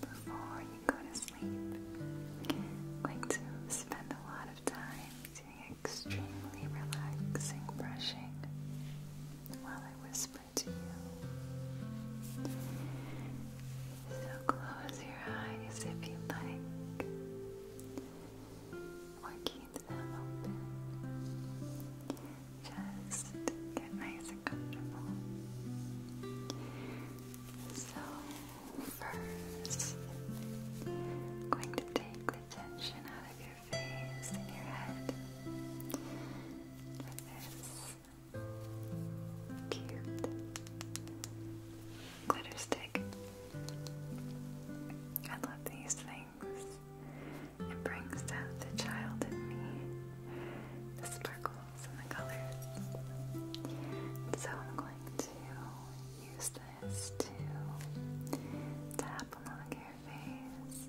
before you go to sleep. Like to spend a lot of time doing extremely relaxing brushing while I whisper to you. So close your eyes if you like, or keep them open. Just get nice and comfortable. So, 1st going to take the tension out of your face and your head with this cute glitter stick. I love these things. It brings out the child in me, the sparkle so I'm going to use this to tap along your face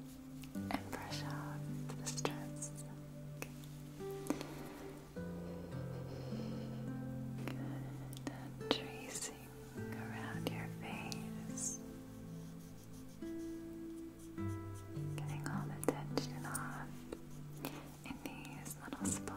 and brush off the stress. tracing around your face. Getting all the tension off in these little spots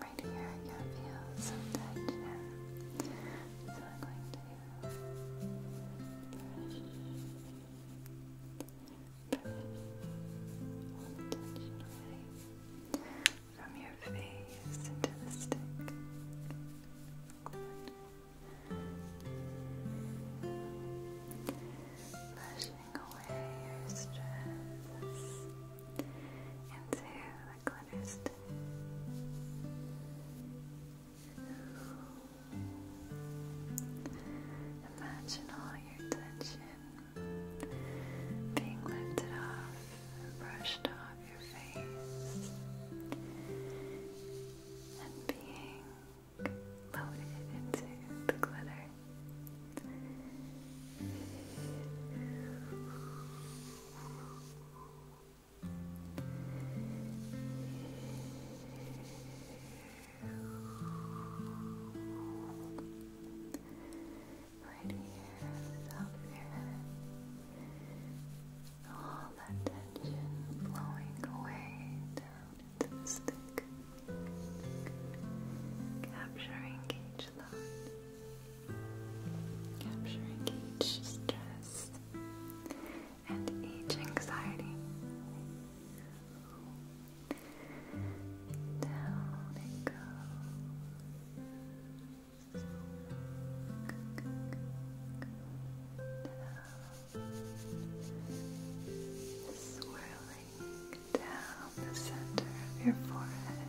right here I feel some tension so I'm going to brush, brush all away from your face into the stick Brushing away your stress into the clear honest. Imagine all your tension being lifted off brushed off your face and being loaded into the glitter. Right here, up here. All that tension flowing away down into the stick. Capturing each line capturing each stress and each anxiety down it goes down swirling down the center of your forehead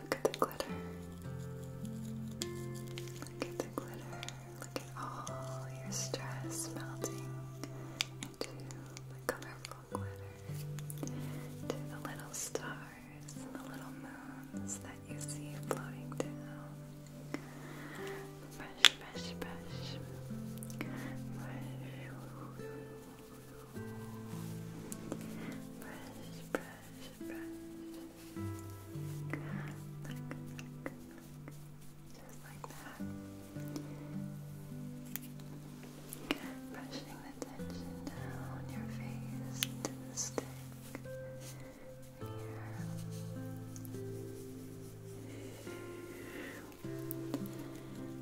Look at the glitter. Look at the glitter. Look at all your stress melting into the colorful glitter. To the little stars and the little moons that you see floating down. Brush, brush, brush. Brush. Brush, brush, brush. Look, look, Just like that. Brushing the tension down your face to the stick. Here.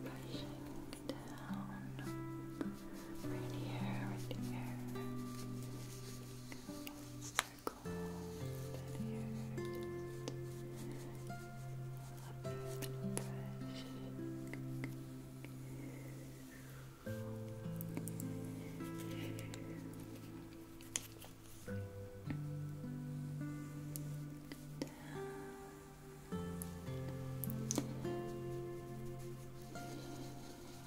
Right here, right here circle that here just and fresh down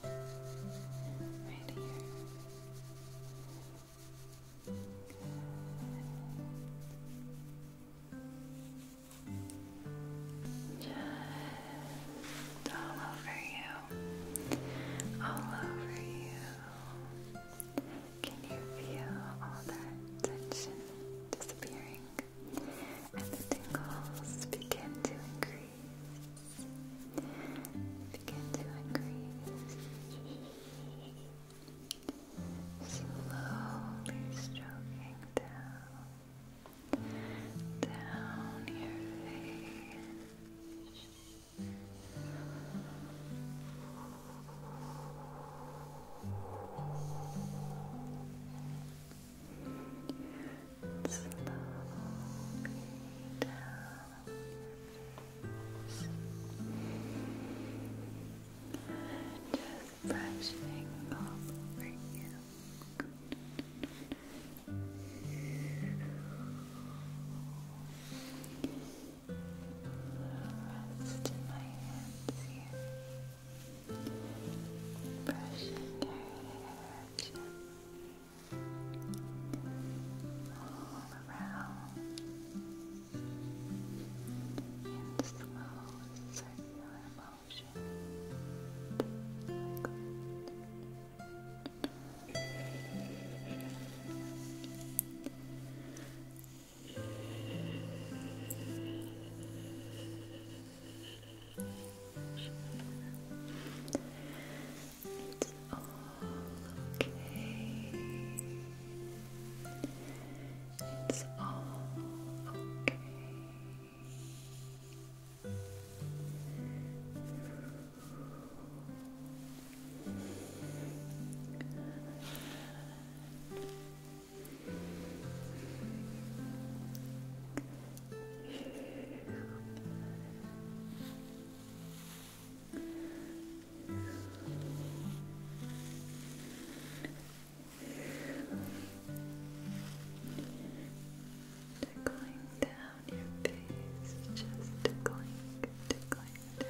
right Just all over you, all over you. Can you feel all that tension disappearing? And the tingles begin to increase. Begin to increase. Slowly stroking down, down your face. Relaxing slowly down your face. Just brushing over you. Rest in my hands here. Brushing your hair all around in slow circular motion. Good. It's all okay. It's all okay. Good. Tickling down your face, just tickling, tickling down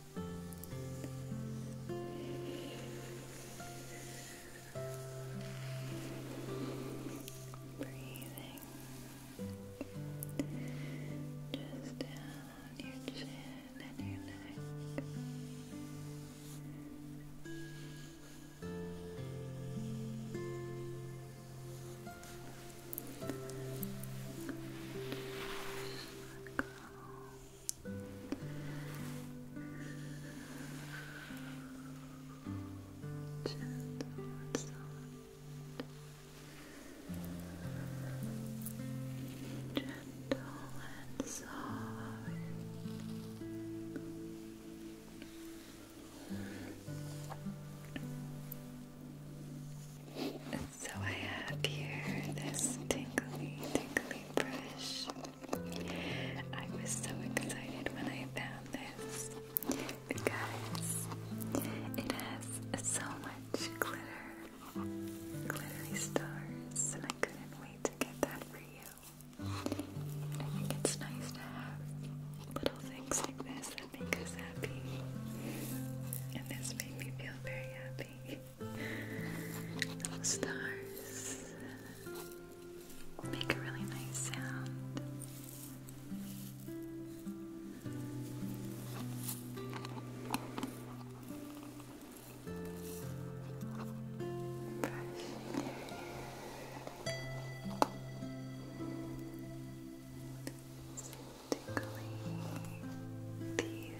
Breathing just down your chin and your neck. Just let go. Gentle and soft. Gentle and soft. So I have here this tingly, tingly brush. I was so excited when I found this because it has so much glitter, glittery stars, and I couldn't wait to get that for you. it's nice little things like this that make us happy, and this made me feel very happy stars make a really nice sound. Brush. Tickly teeth.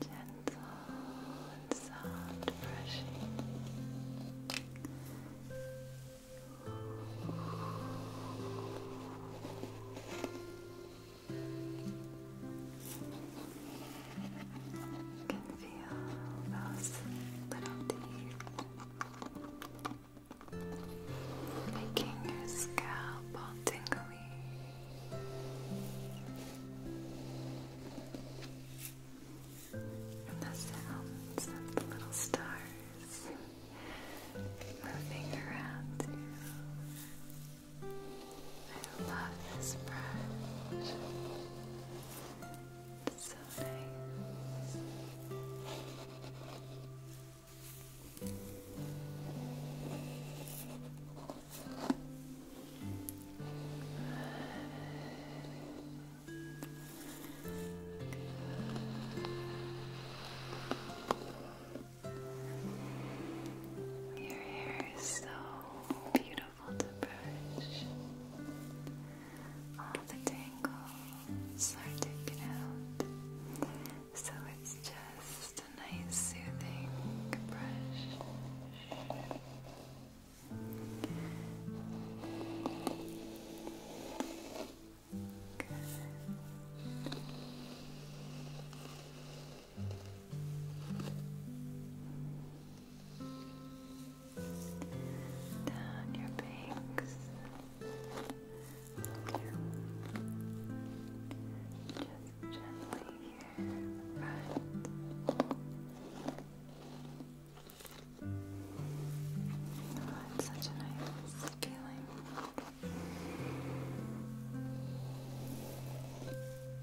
Gentle and soft brushing. Gentle you can feel those little teeth making your scalp all tingly. And the sounds of the little stars moving around you. I love this brush. so nice. Your hair is so beautiful to brush. All the tangles are taken out, so it's just a nice soothing brush. Down your banks. Just gently here, oh, such a nice feeling.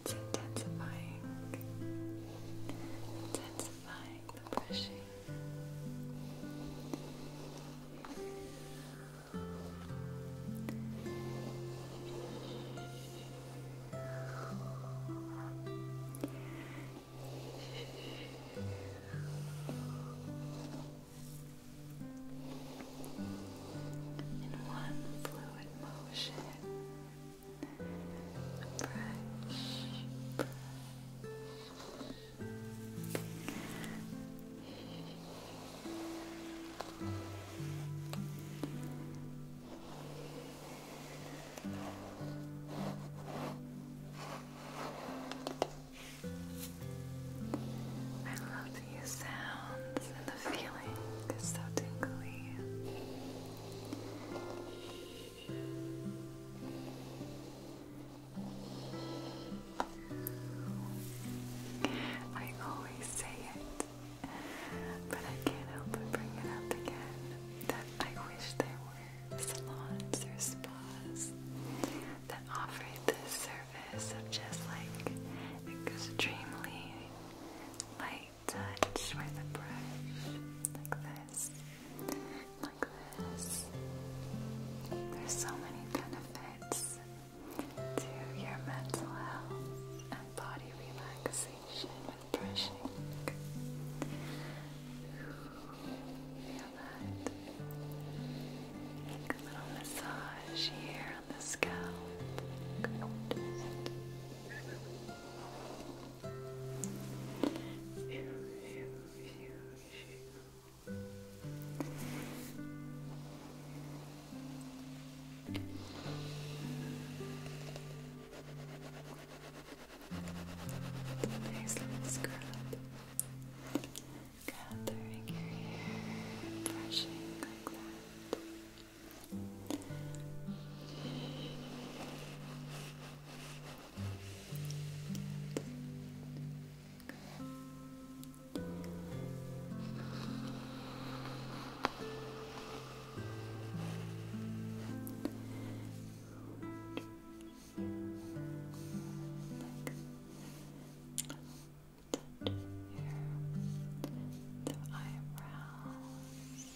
It's intensifying, intensifying the brushing. In one fluid motion, brush, brush. I love these sounds and the feeling is so tingly. I always say it, but I can't help but bring it up again that I wish there were salons or spas that offered this service of just like extremely light touch with a brush, like this, like this. There's so many benefits to your mental health and body relaxation with brushing. Feel that? a little massage here on the scalp. Nice little scrub. Gathering your hair, brushing like that the eyebrows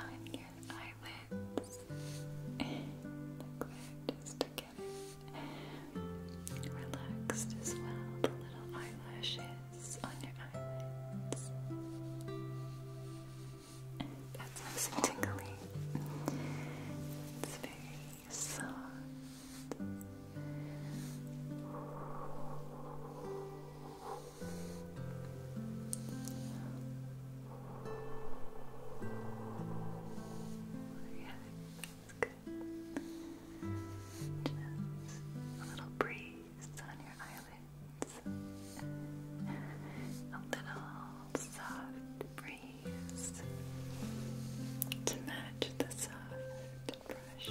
I'm eyelids. just to get it relaxed as well. The little eyelashes on your eyelids. That's nice and tingly. It's very soft yeah, that's good. Just a little breeze on your eyelids. A little soft breeze to match the soft brush.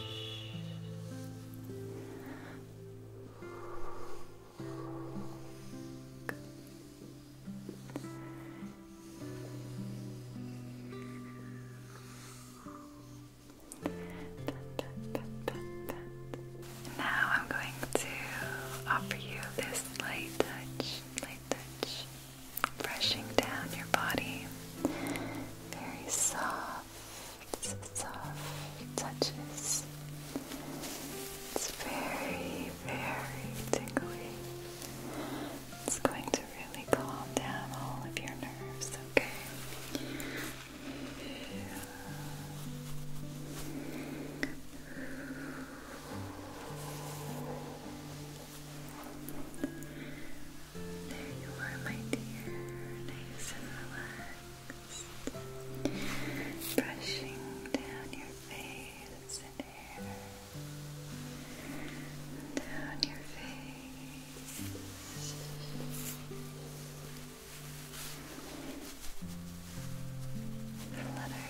Now I'm going to offer you this light touch, light touch, brushing down your body very soft soft, soft touches. It's very, very tingly. It's going to really calm down all of your nerves, okay? There you are, my dear, nice and relaxed. Brushing down your face Down your face. Flutters.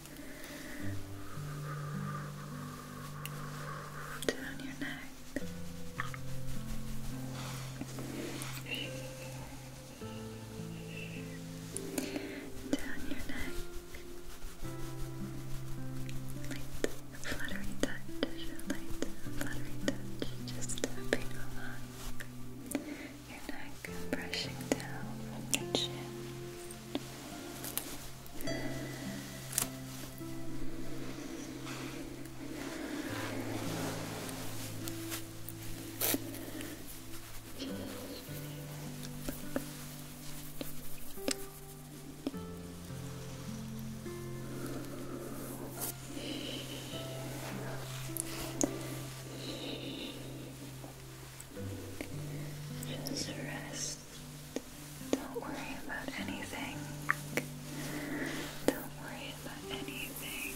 down your neck. Down your neck. Light, fluttery touch. Light, fluttery touch. Just tapping along your neck, brushing down from your chin, just rest don't worry about anything. Don't worry about anything.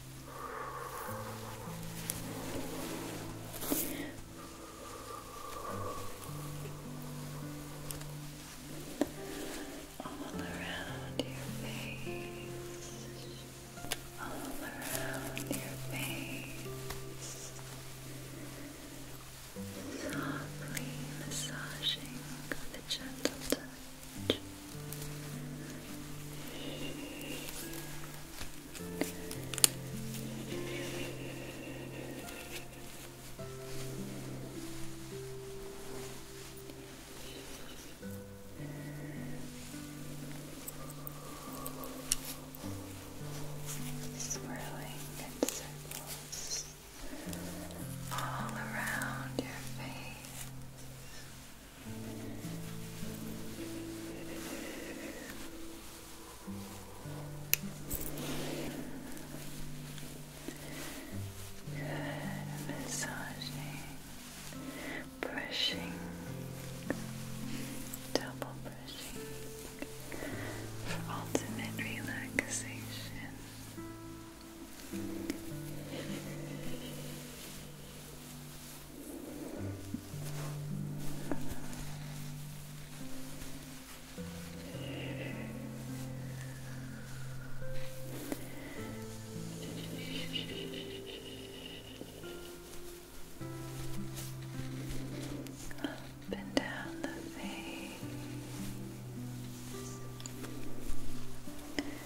all around your face, all around your face, softly massaging with gentle touch. Swirling in circles all around your face. Good, massaging, brushing, double brushing for ultimate relaxation. Up and down the face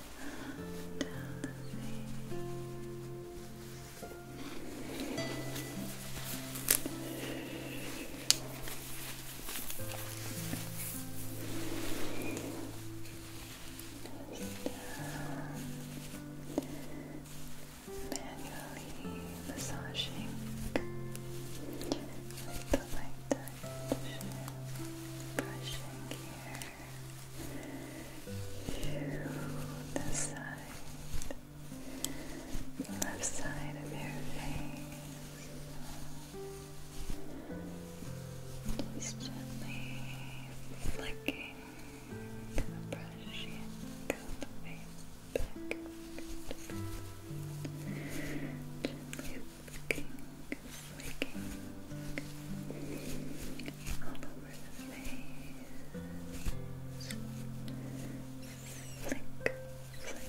down the Manually massaging with the light touch, brushing here to the side, left side of your face. Just gently flicking the brush the way back. flicking, flicking all over the face. Flick, flick, flick,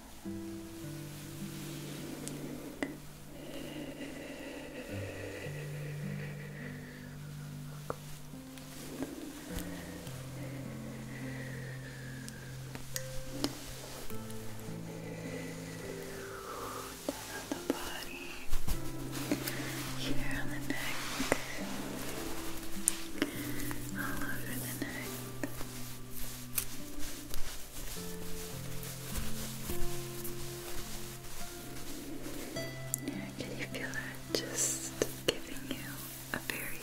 Down on the body, here on the neck. All over the neck. Yeah, can you feel that? Just giving you a very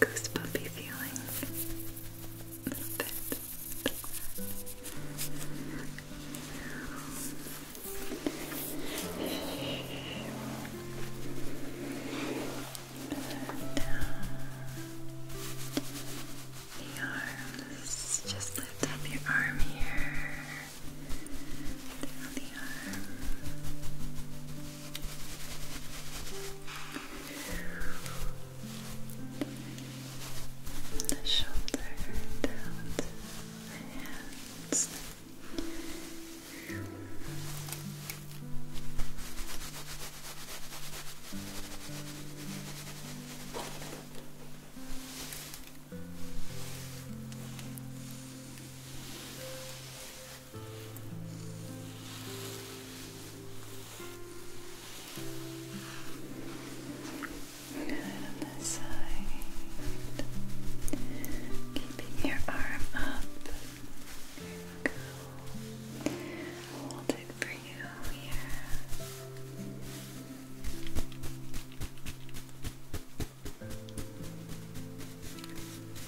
goosebumpy feeling. A little bit down the arms, just lift up your arm here, down the arm. The shoulder down to the hands. Down and on side, keeping your arm up. I'll hold it for you here.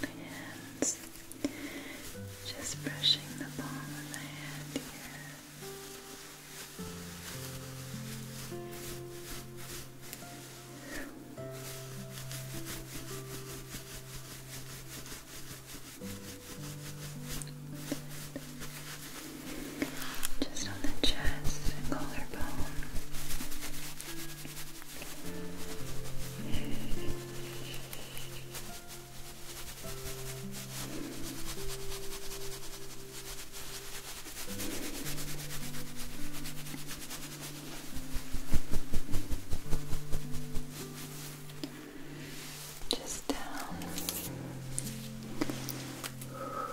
Hands. Just brushing the palm of my hand here. Just on the chest and collarbone just down, down the legs. All over.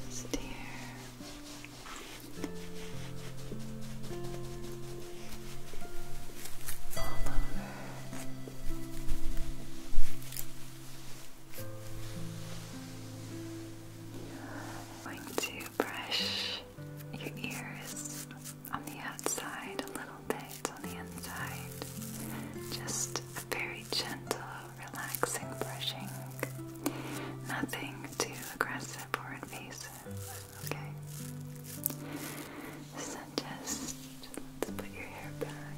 Just here. All over. I'm going to brush your ears on the outside a little bit, on the inside. Just very gentle relaxing brushing. Nothing too aggressive or invasive, okay? So just let's put your hair back.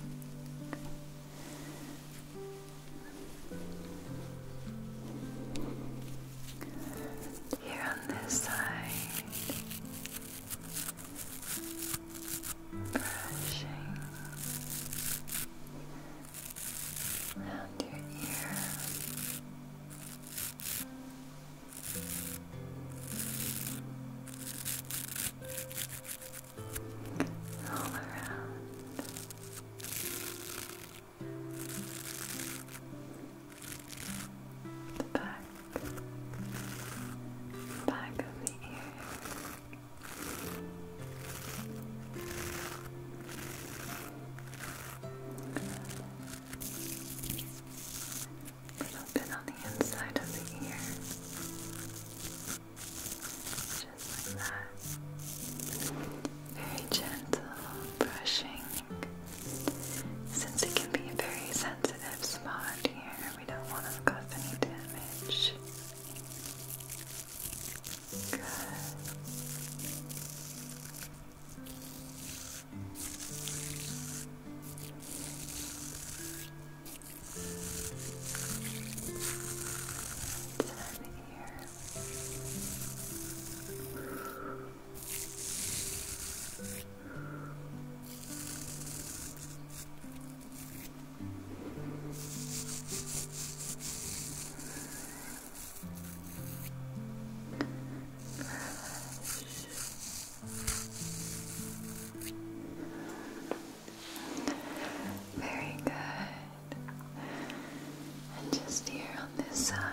Here on this side brushing around your ear. All around. The back, back of the ear, a little bit on the inside of the ear. Just like that. Very gentle brushing. Since it can be a very sensitive spot here, we don't want to cause any damage. Good. Ten here. Good. Very good. And just here on this side.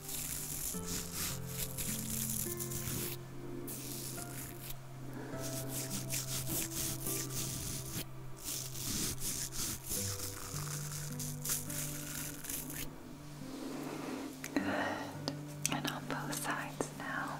Good. And on both sides now.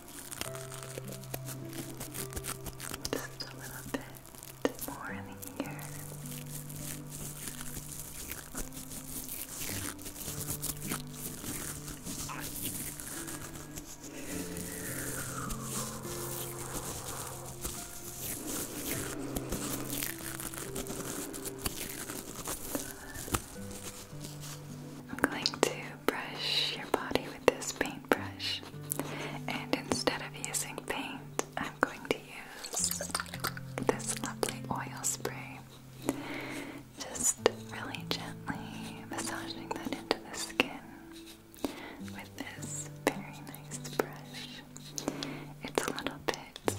Just a little bit more in the ear. Good. I'm going to brush your body with this paintbrush, and instead of using paint, I'm going to use this lovely oil spray. Just really gently massaging that into the skin with this very nice brush. It's a little bit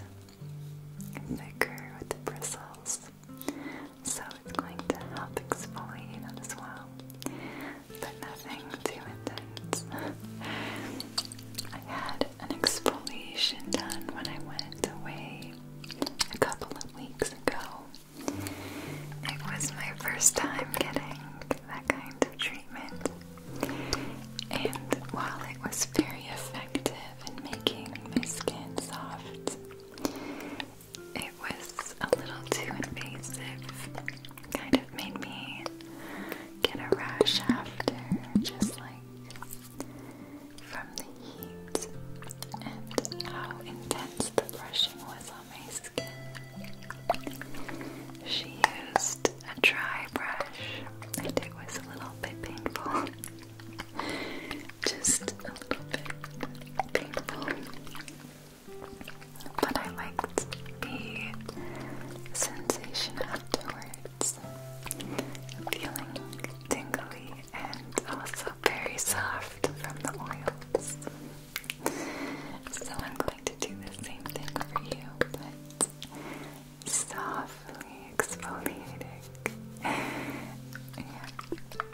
thicker with the bristles, so it's going to help exfoliate it as well. But nothing too intense. I had an exfoliation done when I went away a couple of weeks ago. It was my first time getting that kind of treatment, and while it was very effective in making my skin soft, it was a little too invasive. Kind of made me get a rash after, just like from the heat and how intense the brushing was on my skin. She used a dry brush, and it was a little bit painful. Just a little bit painful. But I liked the sensation afterwards. Feeling tingly and also very soft from the oils. So I'm going to do the same thing for you, but softly exfoliating.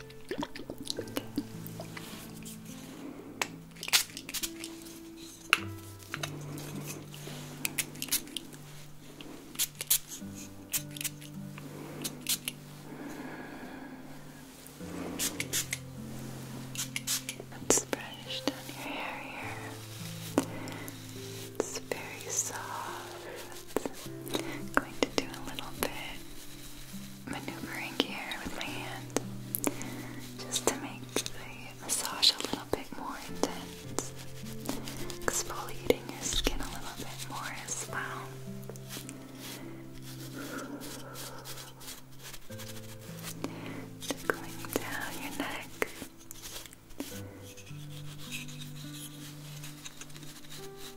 It's brushed down your hair here. It's very soft. It's going to do a little bit maneuvering here with my hand just to make the massage a little bit more intense, exfoliating your skin a little bit more as well. Tickling down your neck. A little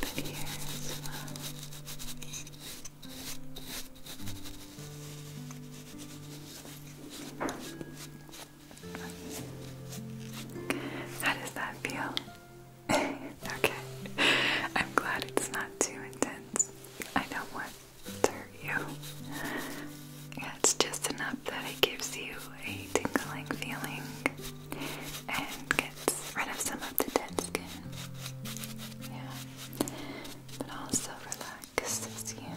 bit here as well. How does that feel? okay. I'm glad it's not too intense. I don't want it's just enough that it gives you a tingling feeling and gets rid of some of the dead skin. Yeah, but also relaxes you.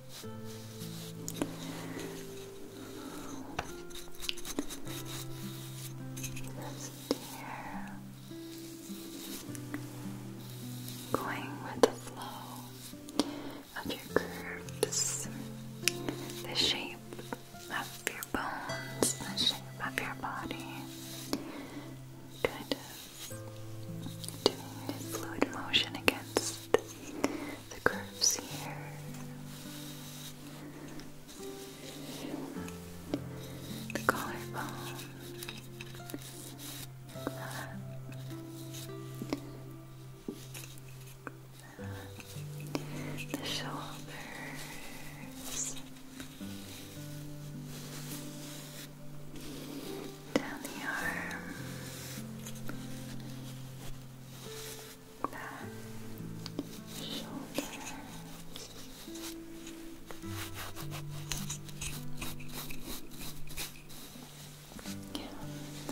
Just here. Going with the flow of your curves, the shape of your bones, the shape of your body. Kind doing fluid motion against the curves here. The collarbone. The shoulders down the arm, back, shoulders. Yeah,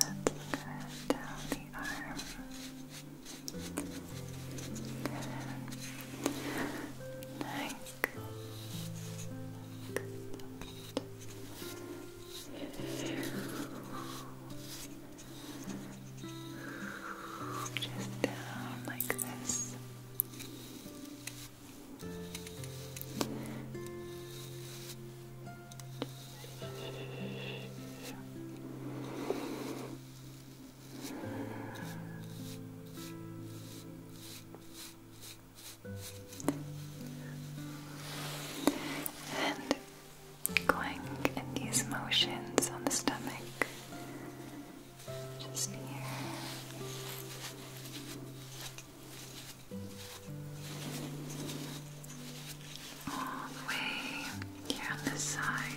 that's good. Down the arm. Good. Neck. Good. Just down like this. Just and going in these motions on the stomach, just here. All the way here on the sides.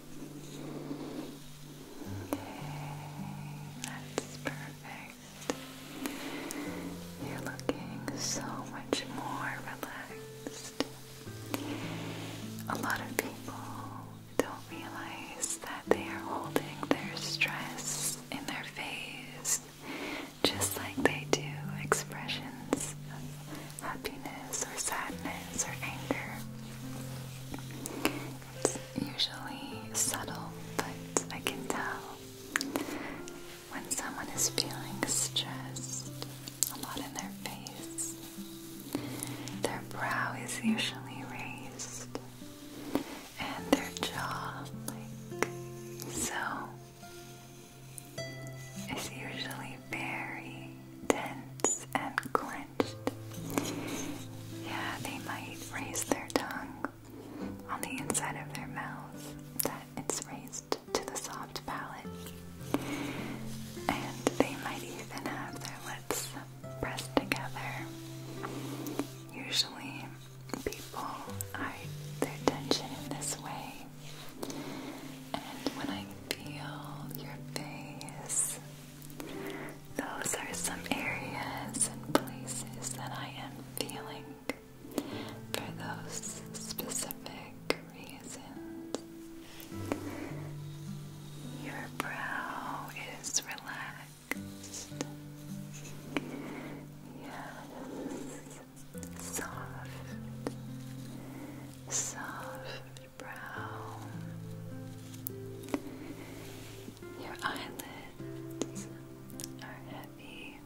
that's perfect. You're looking so much more relaxed. A lot of people don't realize that they are holding their stress in their face, just like they do expressions of happiness or sadness or anger. It's usually subtle, but I can tell when someone is feeling stressed, a lot in their face. Their brow is usually raised, and their jaw, like so, is usually very tense and clenched. Yeah, they might raise their tongue on the inside of their mouth that it's raised to the soft palate. And they might even have their lips pressed together. Usually, people hide their tension in this way. And when I feel your face those are some areas and places that I am feeling for those specific reasons. Your brow is relaxed. Yes, soft, soft your brow, your eyelids are heavy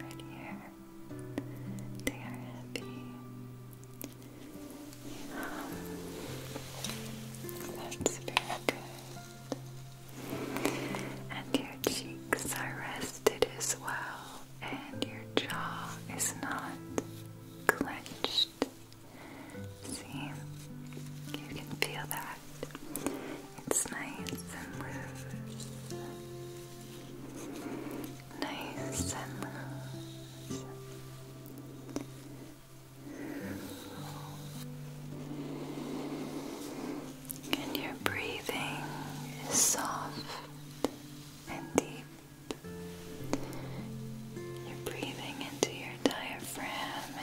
right here. They are heavy. that's very good. And your cheeks are rested as well, and your jaw is not clenched See, you can feel that. It's nice and loose. Nice and loose. And your breathing is soft and deep. You're breathing into your diaphragm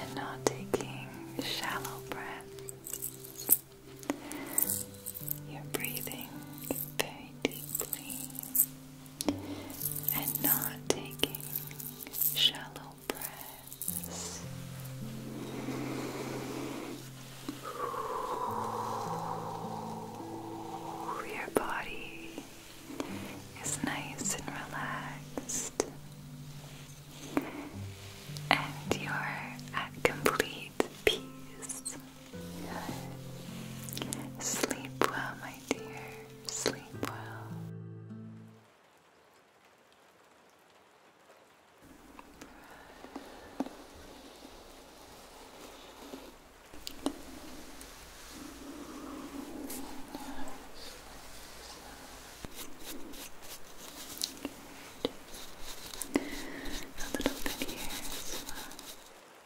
and not taking shallow breaths. You're breathing very deeply and not taking shallow breaths. Your body it's nice and relaxed, and you're at complete peace. Sleep well, my dear. Sleep well. A little bit here as well.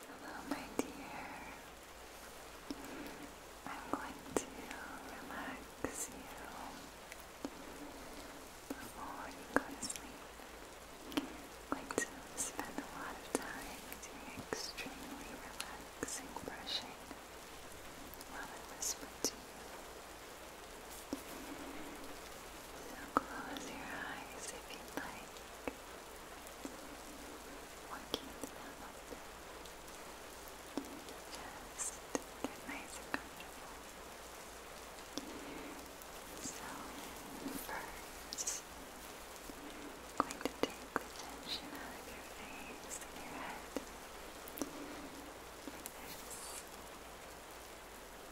Hello, my dear. I'm going to relax you before you go to sleep. I'm going to spend a lot of time doing extremely relaxing brushing I'll whisper to you. So close your eyes if you'd like, or keep them open. Just get nice and So, first, I'm going to take the tension your face and your head this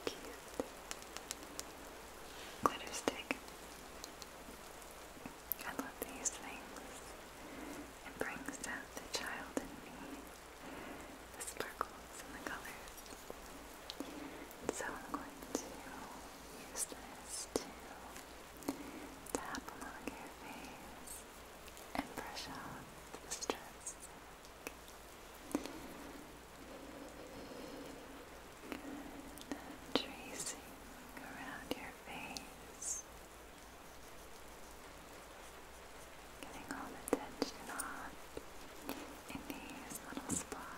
cute glitter stick. I love these things. It brings out the child in me, the sparkles and the colors. So I'm going to use this to tap along your and pressure off the stress. Tracing around your face, getting all the tension off in these little spots.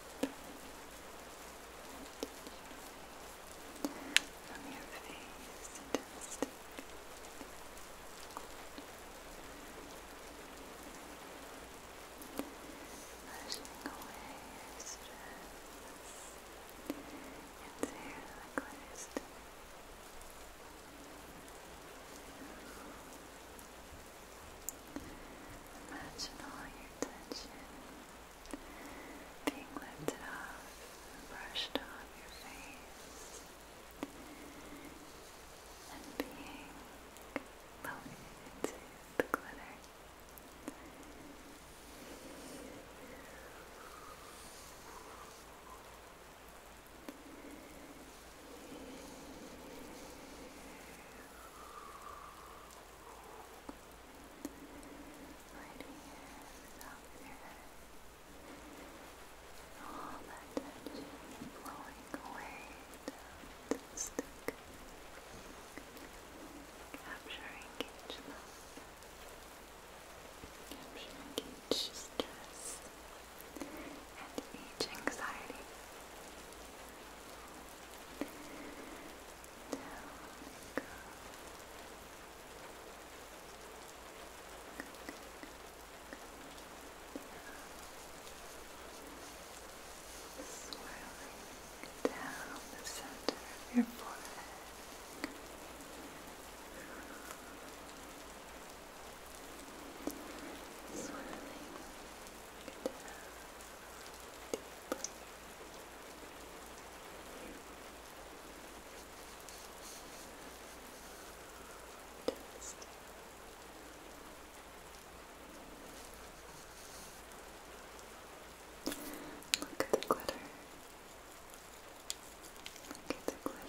from your away stress. Inhale and close. Exhale. Imagine all your tension being lifted off brushed off your face and being loaded into the glitter. Right here, All that tension flowing away down Capturing each love. Capturing each stress. And each anxiety. Down we go. Swirling down the center of your forehead. Swirling Look at the glitter. Look at the glitter. Look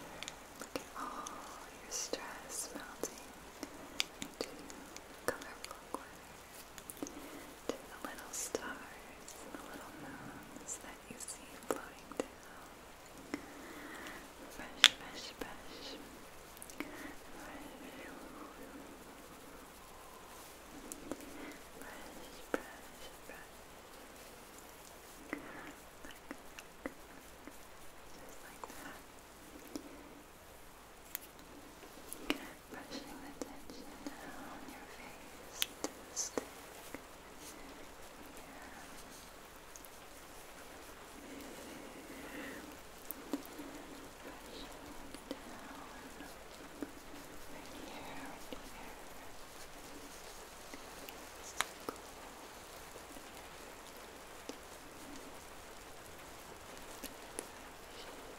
at all your stress melting into colorful glitter to the little stars and the little moons that you see floating down. Fresh, fresh, fresh. Fresh, fresh, fresh. Look, look, look. Just like that. Brushing the tension down your face to the stick. Yeah. down here, right here. It's so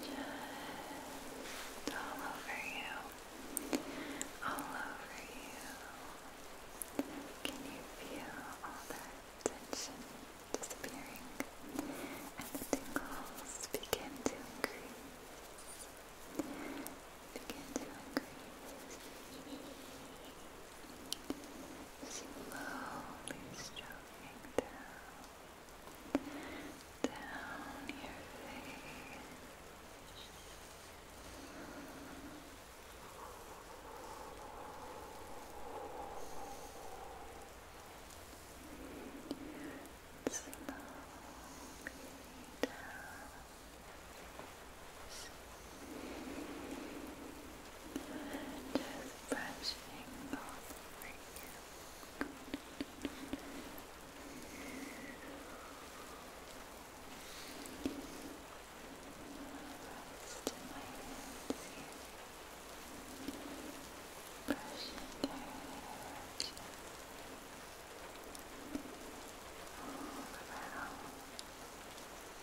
Just all over you. All over you. Can you feel all that tension disappearing and the tingles Begin to increase. Begin to increase slowly stroking down, down your face. Slowly down. Just brushing all over you. Brushing their hair all around.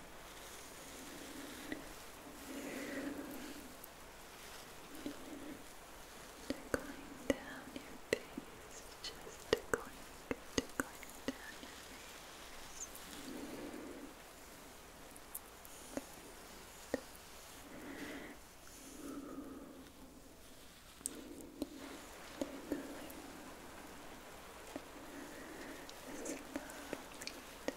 Tickling down your face, just tickling, tickling down your face. Tickling. This lovely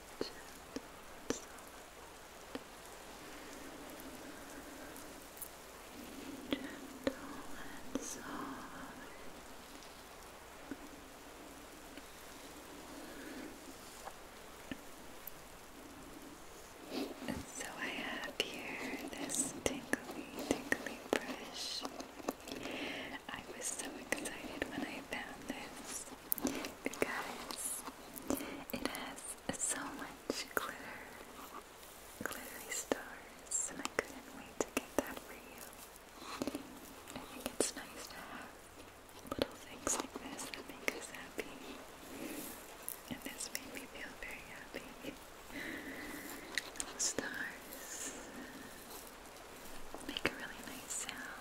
and soft. so I have here this tingly, tingly brush. I was so excited when I found this because it has so much glitter, glittery stars, and I couldn't wait to get that for you. I think it's nice to have little things like this that make us happy. And this made me feel very happy. stars make a really nice sound.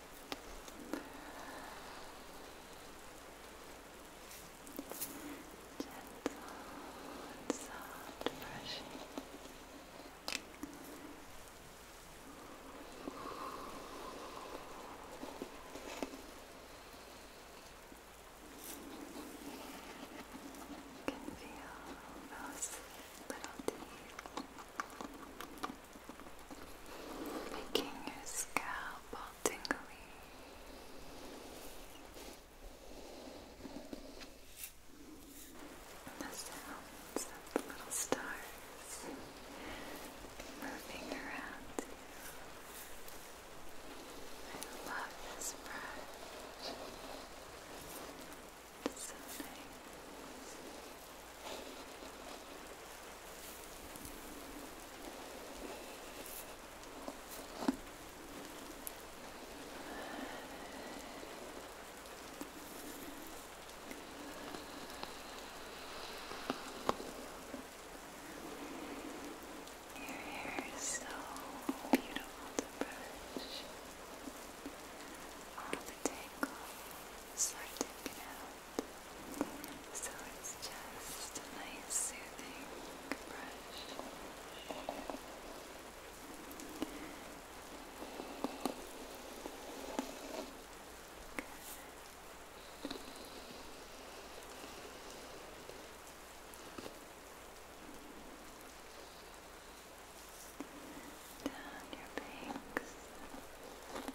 and soft brushing. You can feel those little teeth making your scalp all tingly. And the sounds the little stars moving around you. I love this brush. It's so Your hair is so beautiful brush. All the tangles sorting it out. So it's just a nice soothing brush. Down your banks.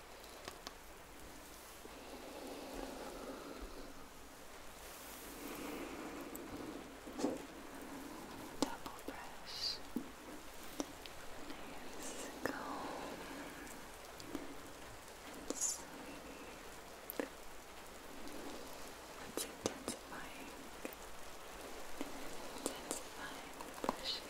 Double brush. Nice comb. And sweep. It's intensifying. Intensifying the brushing. Just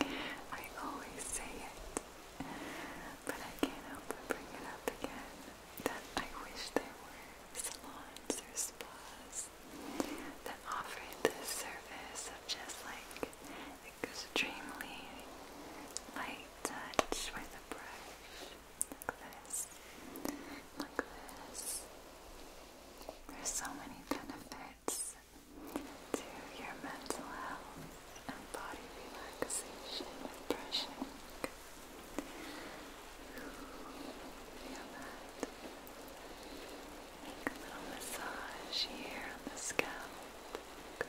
I always say it, but I can't help but bring it up again that I wish there were salons or spas that offered this service just like extremely light touch with a brush like this, like this. There's so many benefits to your mental health and body relaxation and brushing. Feel that. Make a little massage here on the scalp. Good.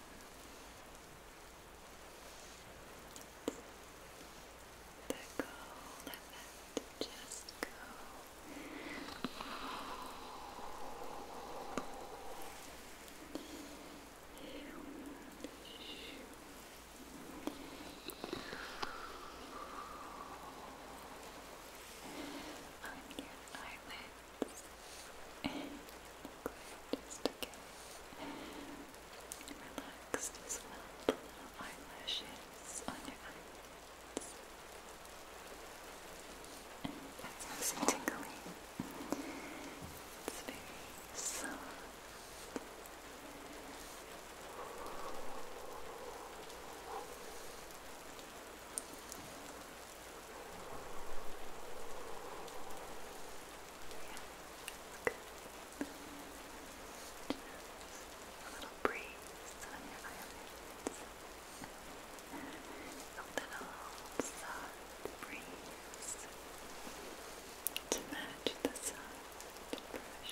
The goal of it to just go on your just to get relaxed as little eyelashes on your eyes. And that's nice and tingly. It's a little breeze on your eyelids. A little soft breeze to match the soft brush.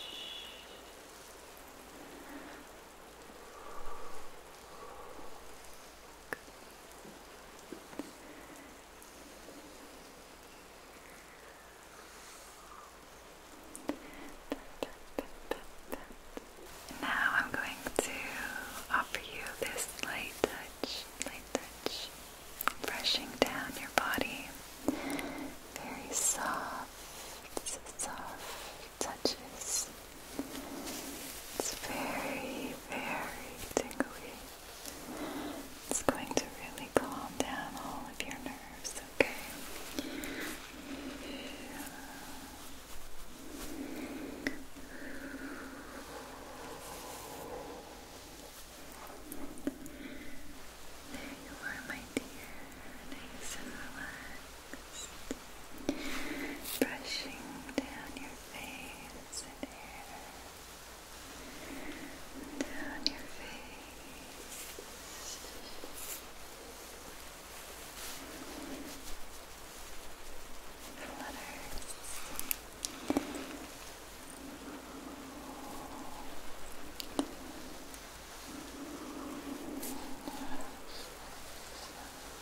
Now I'm going to offer you this light touch, brushing down your body. Very soft, soft touches. It's very, very tingly. It's going to really calm down all of your nerves, okay? There you are, my dear. Nice and relaxed. Brushing down your face and here, down your face. Flutters. Flutters.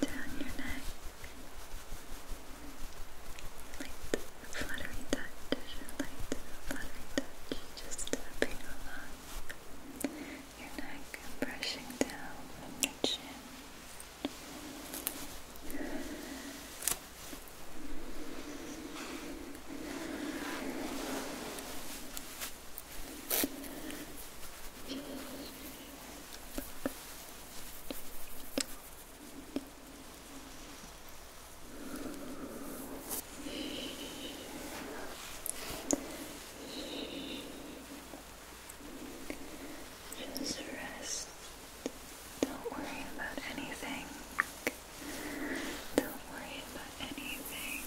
down your neck, light fluttery touch, light fluttery touch, just tapping along your neck brushing down your chin. Just rest. Don't worry about anything. Don't worry about anything.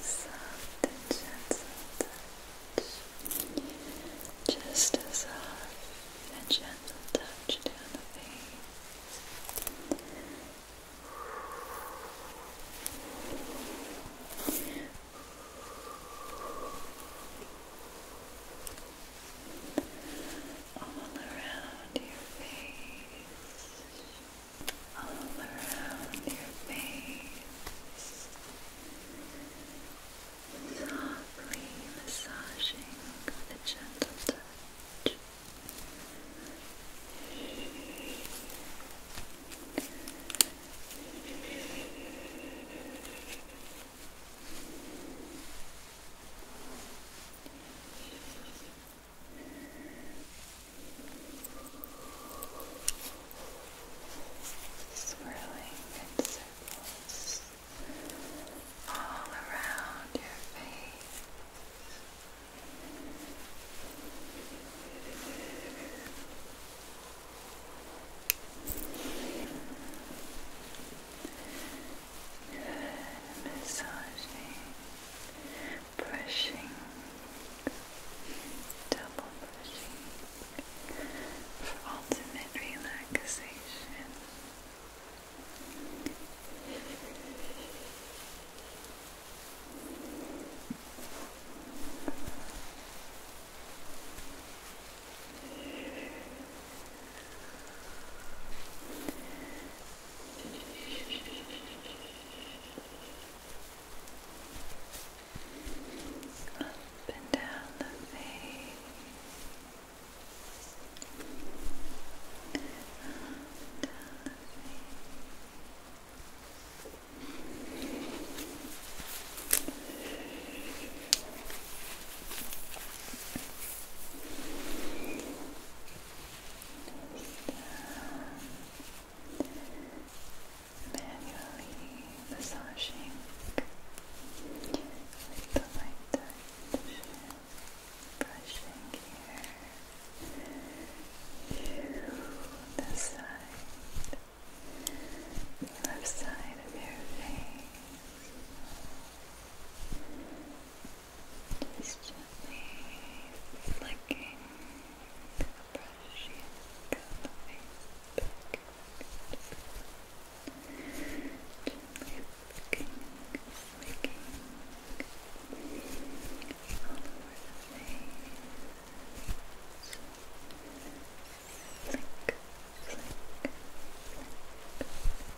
soft and gentle touch, just a soft and gentle touch down the face all around your face, all around your face, softly massaging with a gentle touch swirling in circles all around your face massaging, brushing, double brushing for ultimate relaxation. Up and down the face. Up down the face manually massaging with the light brushing here to the side, left side of your face. Just gently flicking the brush and the face back. Just gently flicking,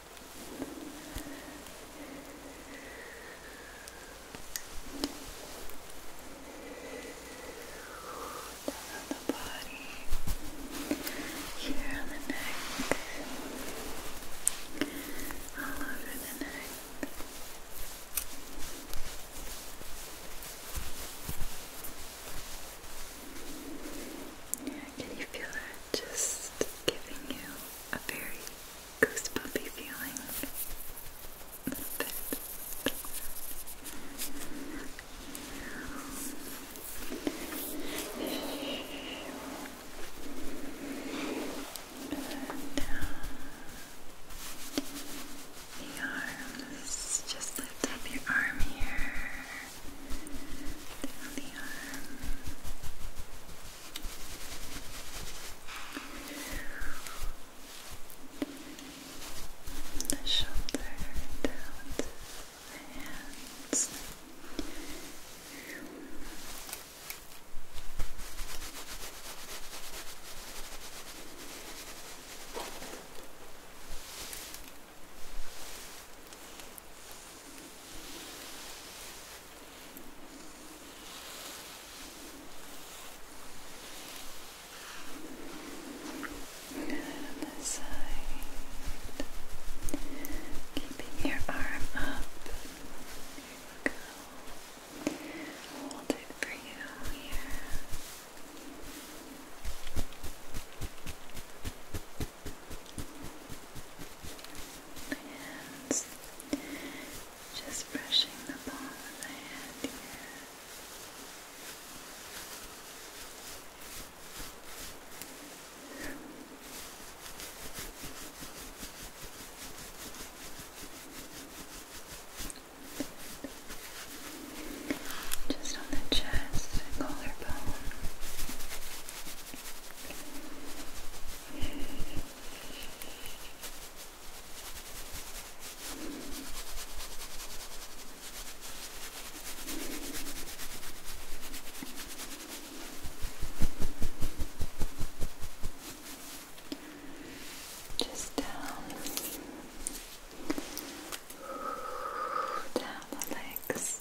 Down the body, here on the neck, all over the neck. Yeah, can you feel that? just giving you a very goosebumpy feeling. A little bit. down the arms, just lift up your arm here down the arm. The shoulder down the hands. And this side. Keeping your arm up. Here we Hold it for you here hands. Just brushing the palm of the hand here. Just on the chest collarbone. Just down, down the legs.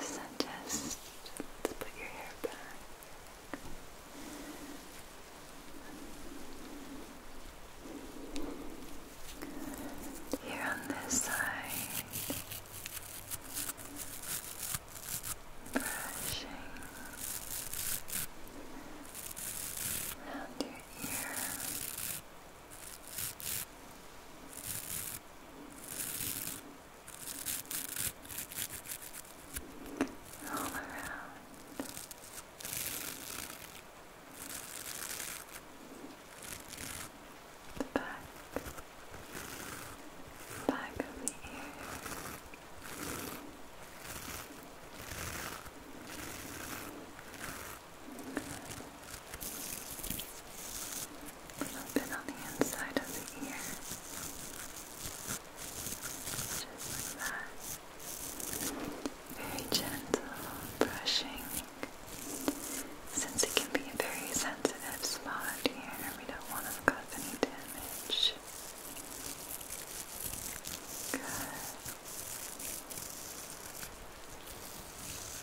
So just let's put your hair back. Here on this side, brushing around your ear all around. The back, back of the ear. All a little bit on the inside of the ear. Just like that. Very gentle brushing. Since it can be a very sensitive spot here, we don't want to cause any damage. Good.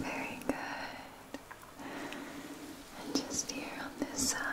Very good. And just here on this side.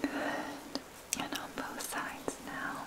Good. And on both sides now.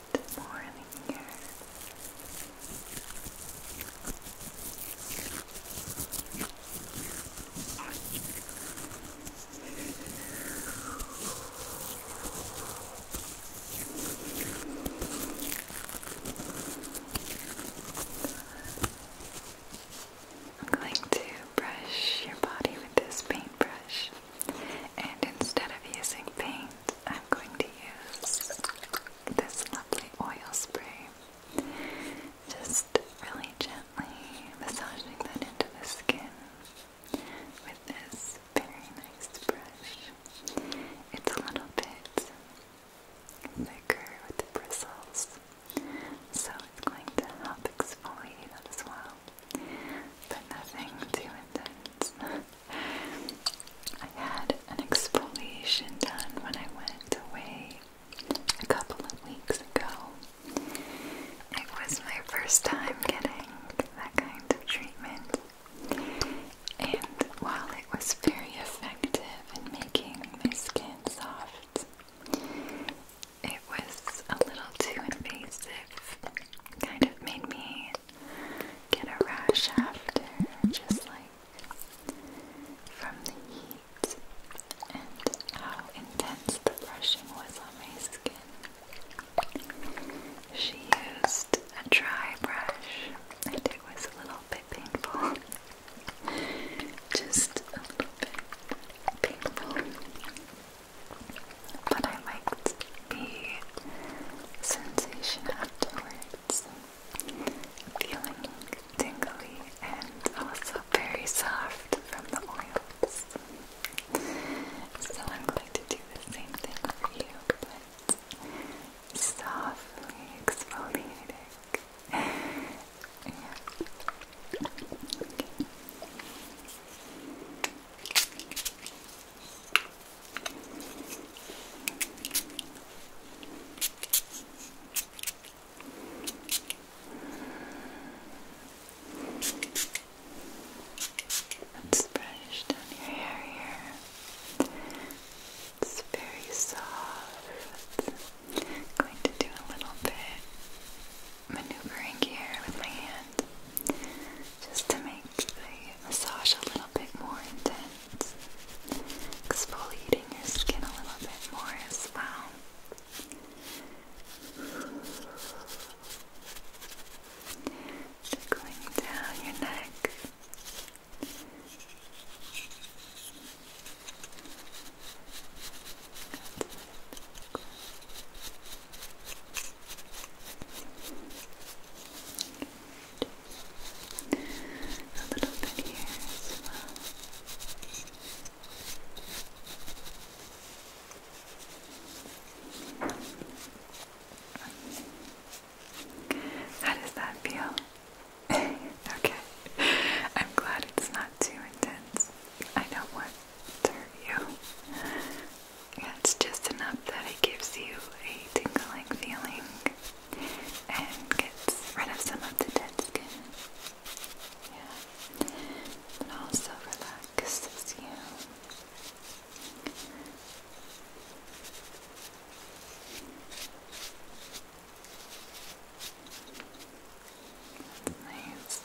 I'm going to brush your body with this paintbrush, and instead of using paint, I'm going to use this lovely oil spray. Just really gently massaging that into the skin with this very nice brush. It's a little bit thicker with the bristles, so it's going to help exfoliate as well, but nothing too intense. I had an exfoliation done when I went away a couple of weeks ago. It was my first time getting that kind of treatment, and while it was very effective in making my skin soft, it was a little too invasive. Kind of made me get a rash after, just like from the heat and how intense the brushing was on my skin. She used a dry brush and it was a little bit painful. Just a little bit painful. But I liked the sensation afterwards feeling tingly and also very soft from the oils. So I'm going to do the same thing for you, but softly exfoliating. Let's brush down your hair here. It's very soft. going to do a little bit maneuvering here with my hand just to make the massage a little bit more intense, exfoliating your skin a little bit more as well. So down your neck. A little bit here as well. How does that feel? okay. I'm glad it's not too intense. I don't to hurt Yeah, it's just enough that it gives you a tingling feeling and gets rid of some of the dead skin. Yeah. It also relaxes you. That's nice.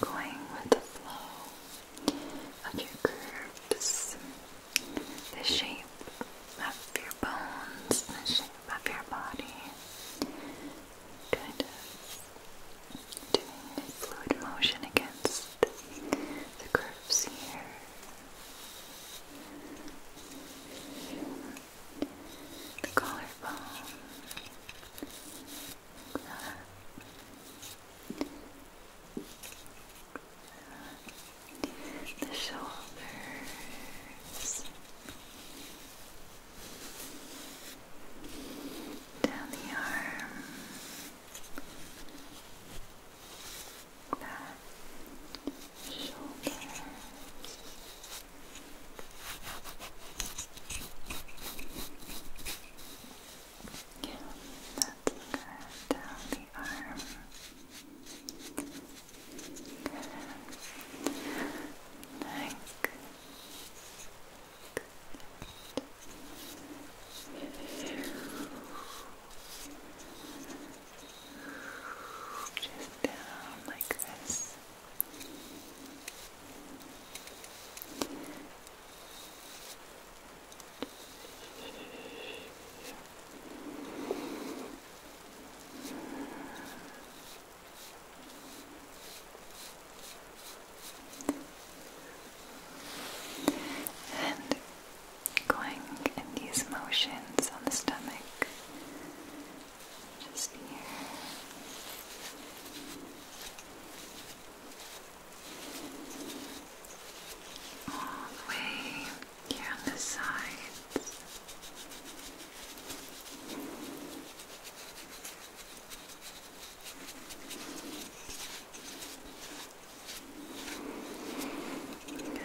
Going with the flow of your curves, the shape of your bones, the shape of your body, kind doing a fluid motion against the curves here the collarbone, like that. The shoulders, down the arm, that shoulders, yeah, that's Down the arm. Good. Just down like this. And going in these motions on the stomach just here. All the way here on the sides. Good.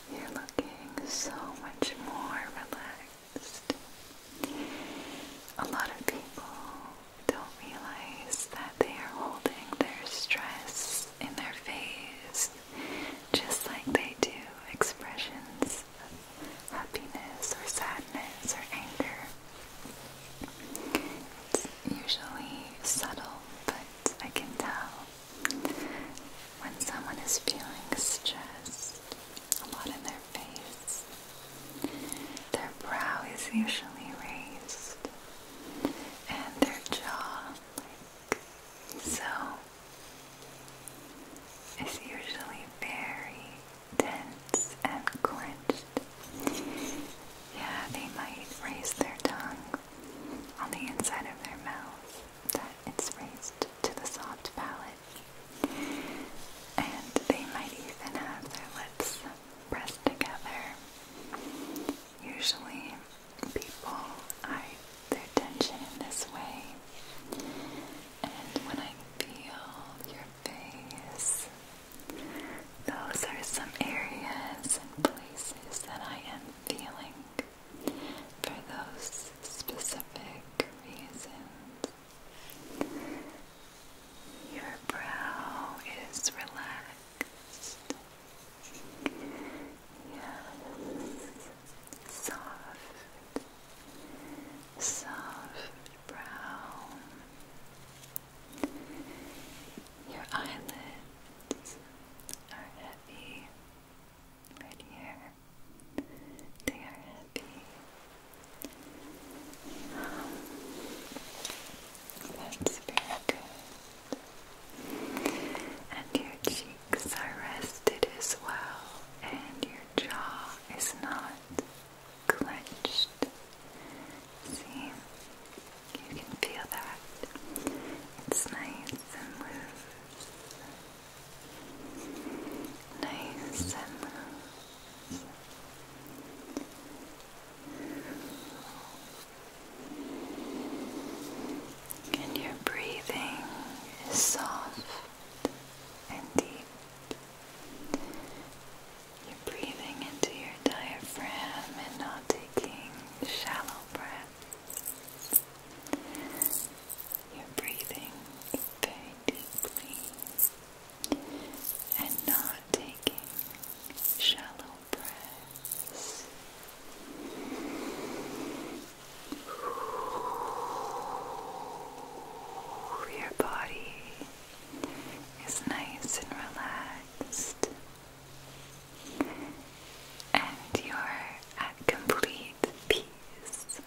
You're looking so much more relaxed. A lot of people don't realize that they are holding their stress in their face, just like they do expressions of happiness or sadness or anger. It's usually subtle, but I can tell when someone is feeling stressed, a lot in their face, their brow is usually raised and their jaw like so is usually very tense and clenched. Yeah, they might raise their tongue on the inside of their mouth that it's raised to the soft palate. And they might even have their lips pressed together. Usually, people hide their tension in this way. And when I feel your face, those are some areas and places that I am feeling for those specific reasons. Your brow is relaxed. Yes, soft, soft brow. Your eyelids are heavy right here. They are happy. That's very good. And your cheeks are rested as well, and your jaw is not clenched. See? You can feel that. It's nice and loose nice and your breathing is soft and deep. You're breathing into your diaphragm and not taking shallow breaths. You're breathing very deeply and not taking shallow breaths. Your body is nice and relaxed, and you're at complete peace.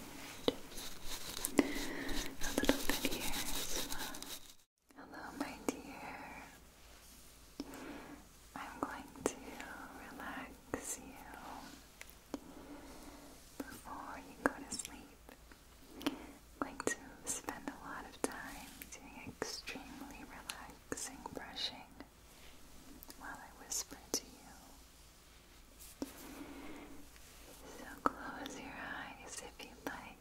A little bit here as well. Hello, my dear. I'm going to relax you before you go to sleep. going to spend a lot of time doing extremely relaxing brushing while I whisper to you. So close your eyes if you like,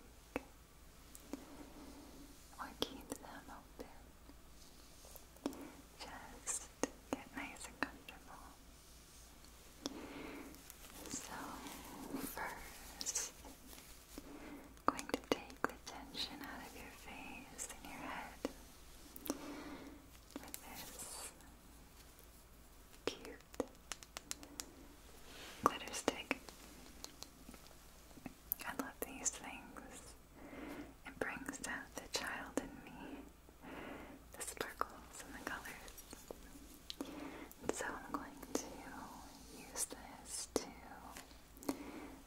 or keep them open. Just get nice and comfortable. So, 1st going to take the tension out of your face and your head with this Cute glitter stick. I love these things. It brings out the child in me, the sparkles and the colors. so I'm going to use this to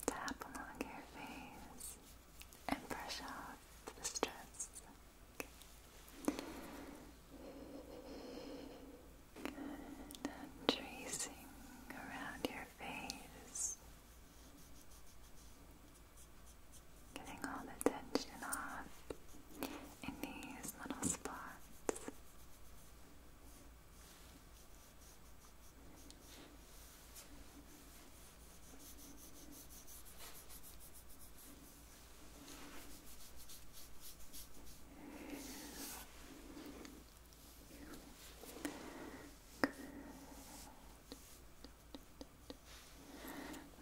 tap along your face and brush off the stress. Good. And tracing around your face. Getting all the tension off in these little spots. Good.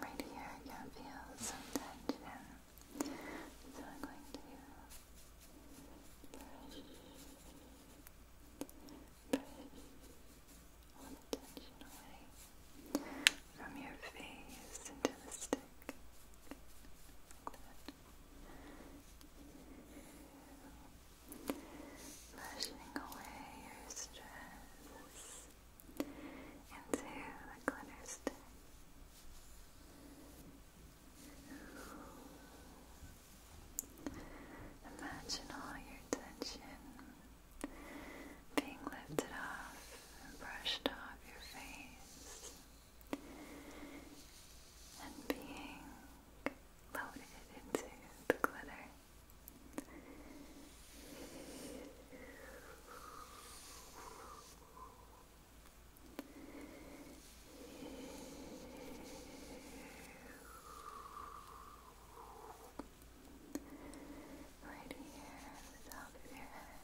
Right here, I feel some tension. So I'm going to brush, brush all from your face into the stick. Brushing away your stress into the glitter stick. Imagine all your tension being lifted off brushed off your face and being loaded into the glitter. Right here, the top of your head.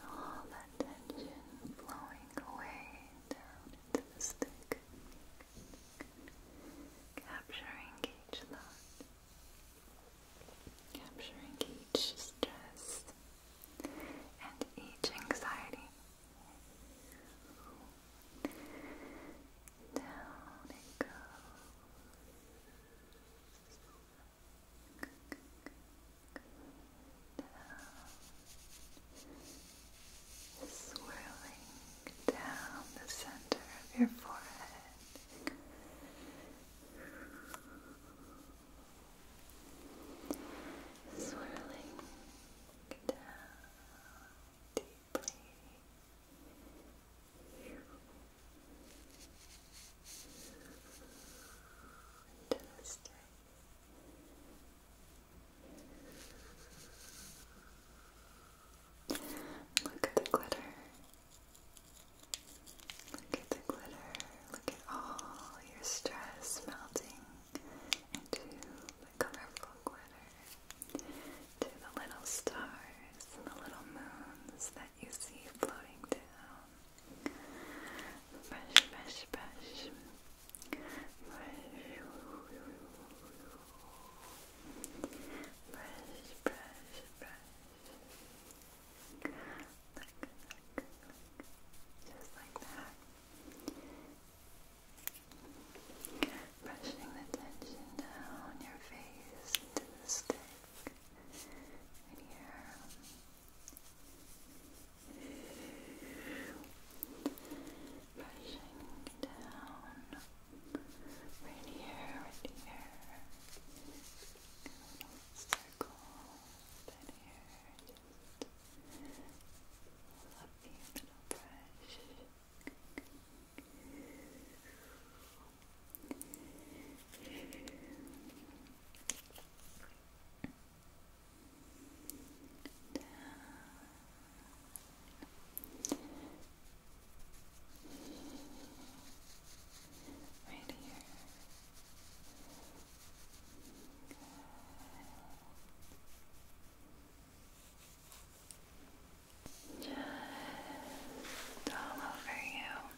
All that tension flowing away down into the stick, capturing each thought, capturing each stress and each anxiety. Down it goes swirling down the center of your forehead. Swirling down deeply. Fantastic. Look at the glitter. Look at the glitter. Look at all your stress melting into the colorful glitter, to the little stars and the little moons that you see floating down brush, brush, brush, brush, brush, brush, brush. Look, look, look. Just like that. Brushing the tension down your face into the skin in here. Brushing down. Right here, right here. Little circles here. Just lovely little brush. Right here. Just all over you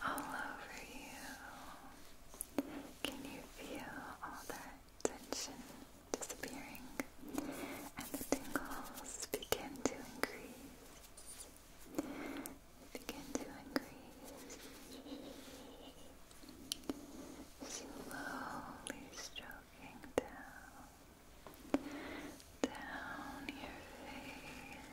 all over you. Can you feel all that tension disappearing and the tingles begin to increase? Begin to increase. Slowly stroking down, down your face.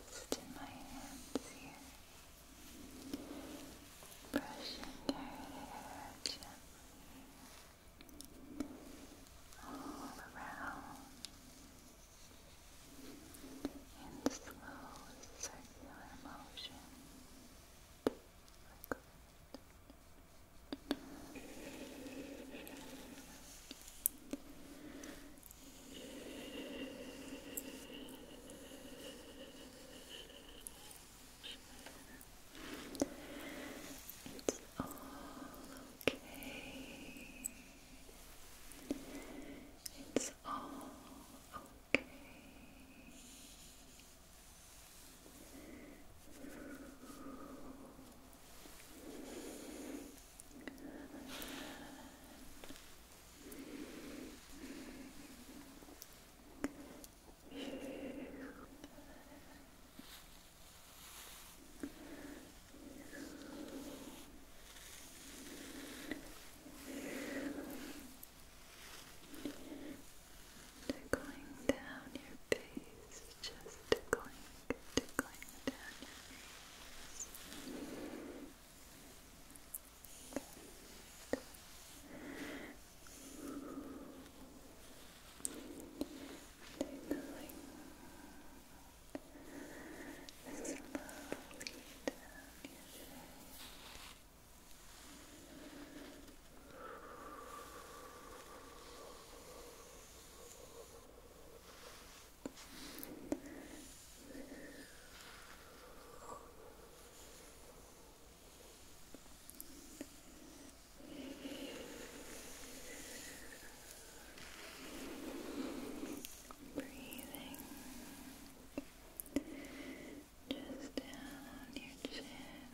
Rest in my hands here, brushing her hair gently all around in slow circular motion. It's all okay. It's all okay. Tickling down your face, just tickling tickling down your face. Good. Tickling. Slowly down your face. Good. Breathing just down your chin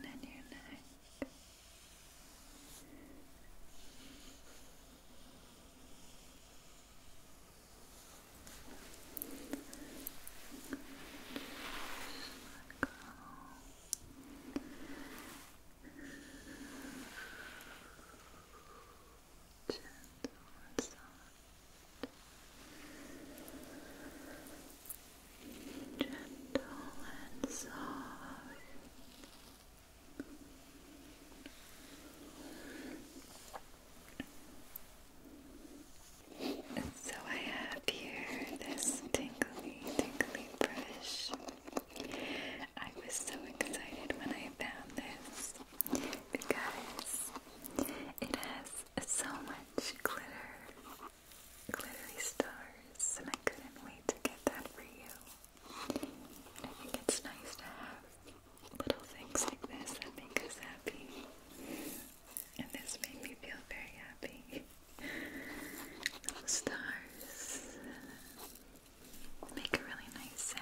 and your neck. Gentle and soft. Gentle and soft. So I have here this tingly, tingly brush. I was so excited when I found this because it has so much glitter, glittery stars, and I couldn't wait to get that for you. I think it's nice to have little things like this that make us happy. And this made me feel very happy. Little stars make a really nice sound.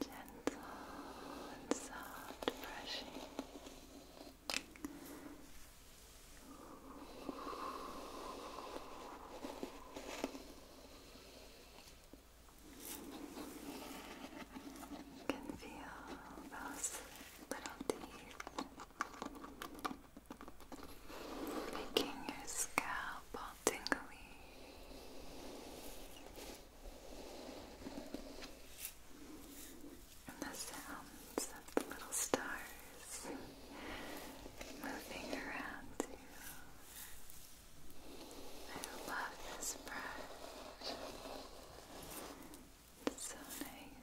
Gentle and soft brushing. You can feel those little teeth making your scalp all tingly. And the sounds of the little stars moving around you. I love this brush. It's so nice.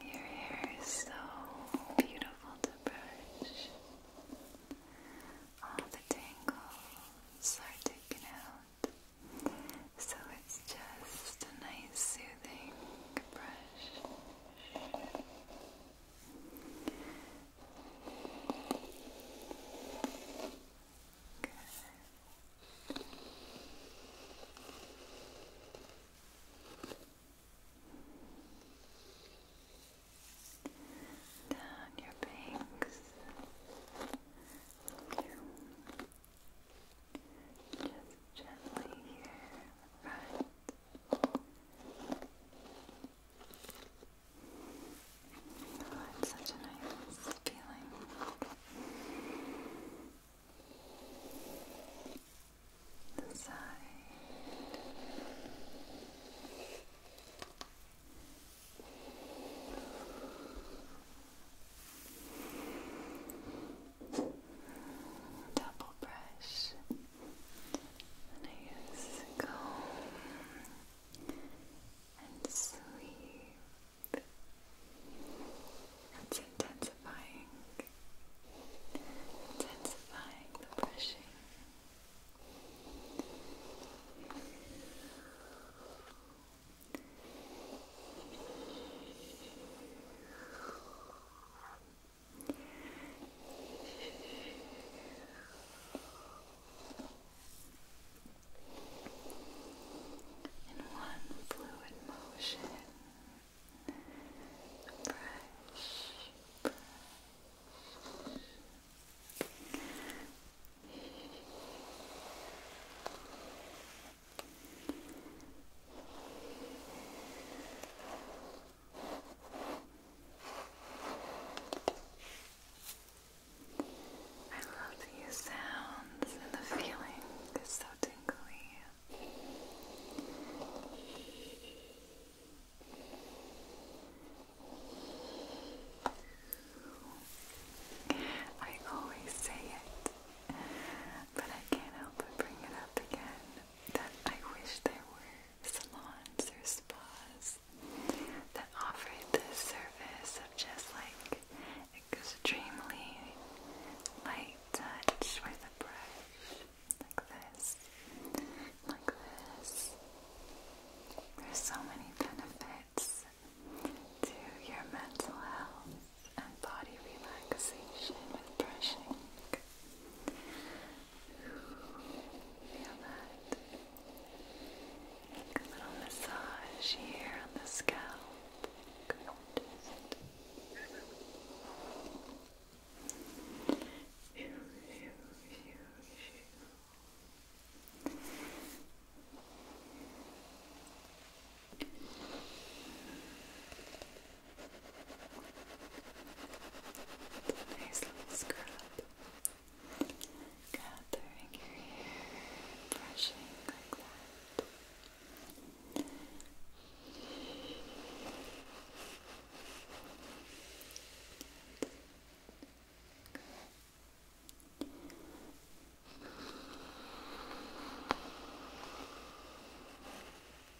Your hair is so beautiful to brush. All the tangles are taken out, so it's just a nice soothing brush. Down your banks. Just gently here, right. Oh, it's such a nice feeling. The side double brush, and I use a and sweep. It's intensifying, intensifying the brushing. In one fluid motion, brush, brush. Brush, I love these sounds and the feeling is so tingly. I always say it, but I can't help but bring it up again that I wish there were salons or spas that offered this service of just like extremely light touch with a brush. Like this, like this. There's so many benefits to your mental health and body relaxation with brushing. Feel that. Like a little massage here on the scalp. Good. Good. Nice little scrub. Gathering your hair, brushing like that. Good.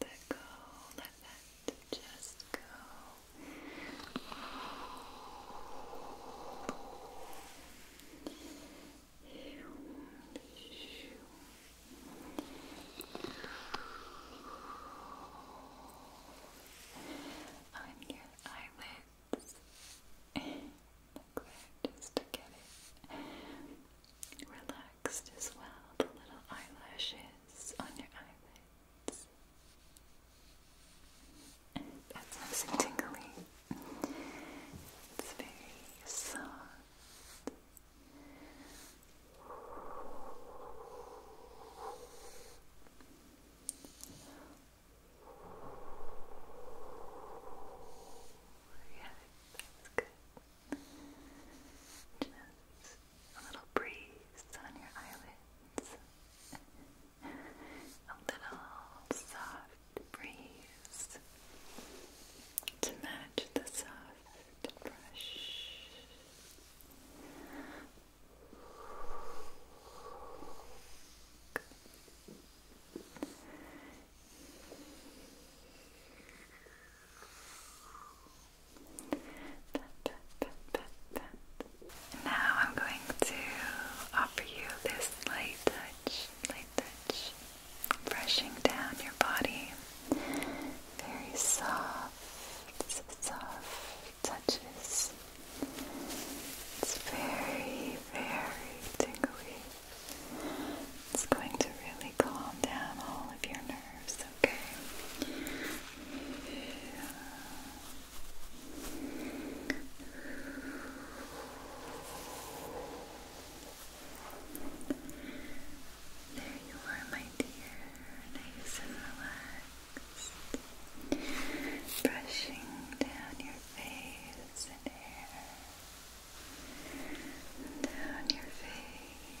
Let go. Let that just go. On your eyelids, just to get it relaxed relaxed as well, the little eyelashes on your eyelids. that's nice and tingly. It's very soft. Yeah, that's good. Just a little breeze on your eyelids, a little soft breeze to match the soft brush. Now I'm going to offer you this light touch, light touch, brushing down your body. Very soft, soft touches. It's very, very tingly. It's going to really calm down all of your nerves it's There you are, my dear, nice and relaxed, brushing down your face and hair. Down your face,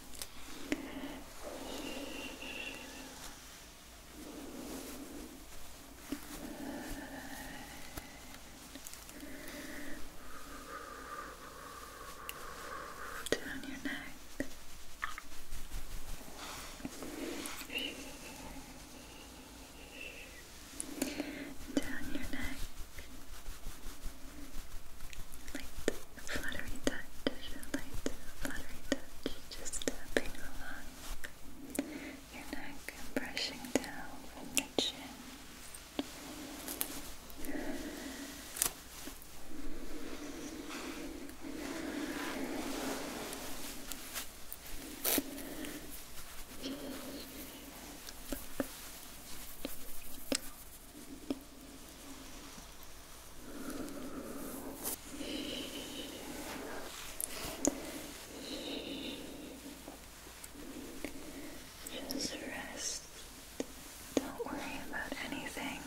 Good. Down your neck. Down your neck. Light, fluttery touch, light, fluttery touch, just tapping along your neck brushing down your chin. Just rest. Don't worry about anything.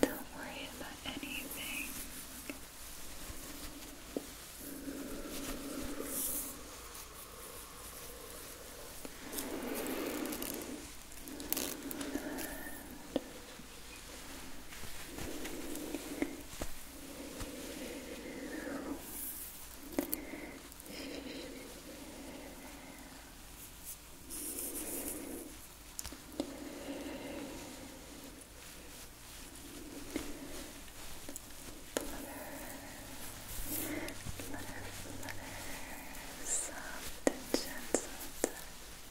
Don't worry about anything. Butter flutter, flutter, soft and gentle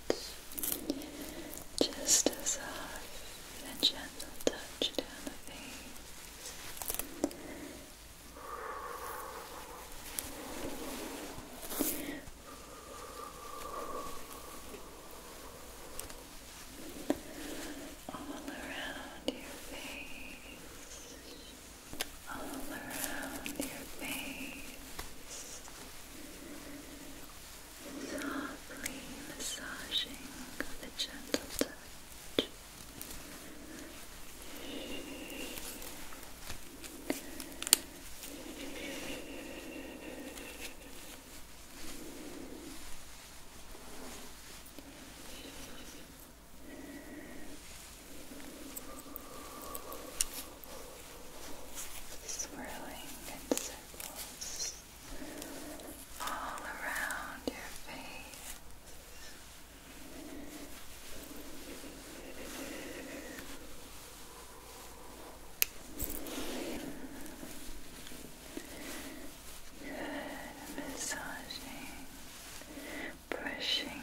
touch, just a soft and gentle touch down the face. All around your face, all around your face, softly massaging with a gentle touch swirling in circles all around your face. Good, massaging brushing,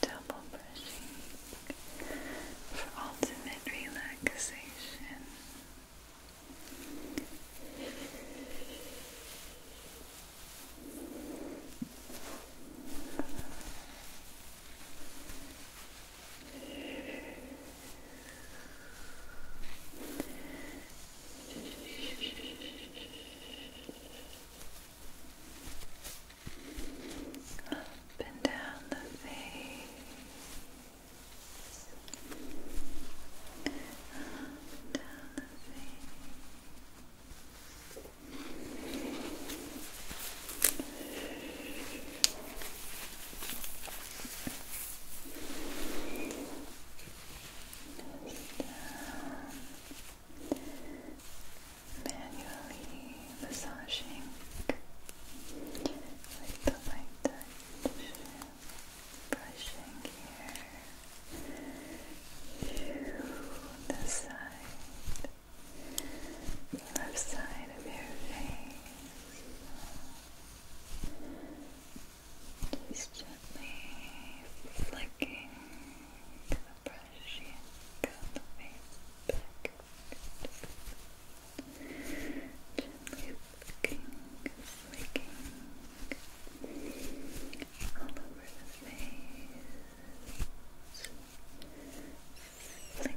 double brushing for ultimate relaxation. Up and down the face. down the face. down manually massaging with the light touch, brushing here to the side, the left side of your face. Just gently flicking the brush and curl the face back. Gently flicking, flicking all over the face. Flick, flick, flick, flick. Flick.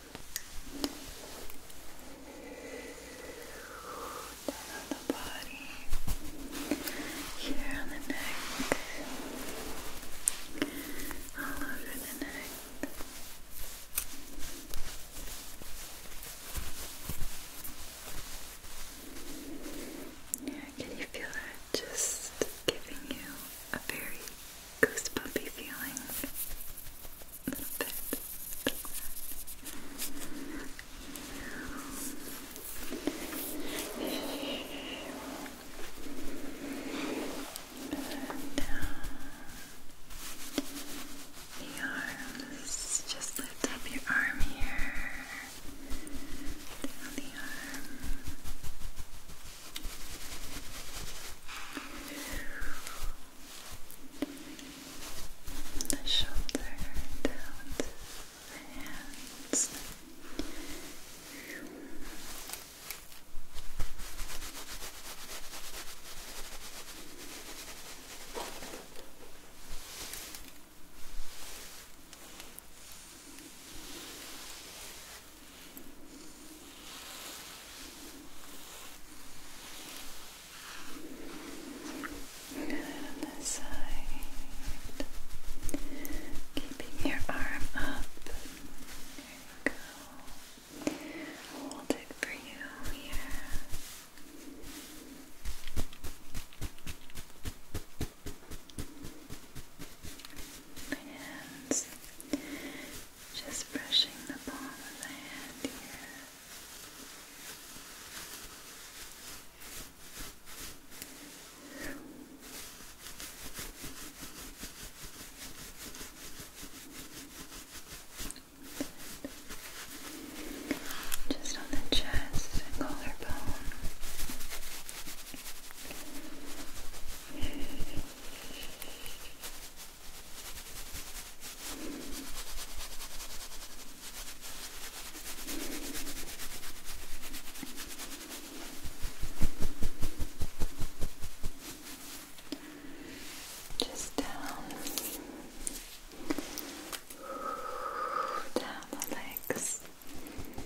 Down on the body, here on the neck, all over the neck. Yeah, can you feel that? Just giving you a very goosebumpy feeling. A little bit. The arms, just lift up your arm here. Down the arm the shoulder down the hands. Good on this side. Keeping your arm up. There you go. Hold it for you here. Hands. Just brushing the palm of the hand here. Just on the chest and collarbone. Good. Just down, down the legs. Good.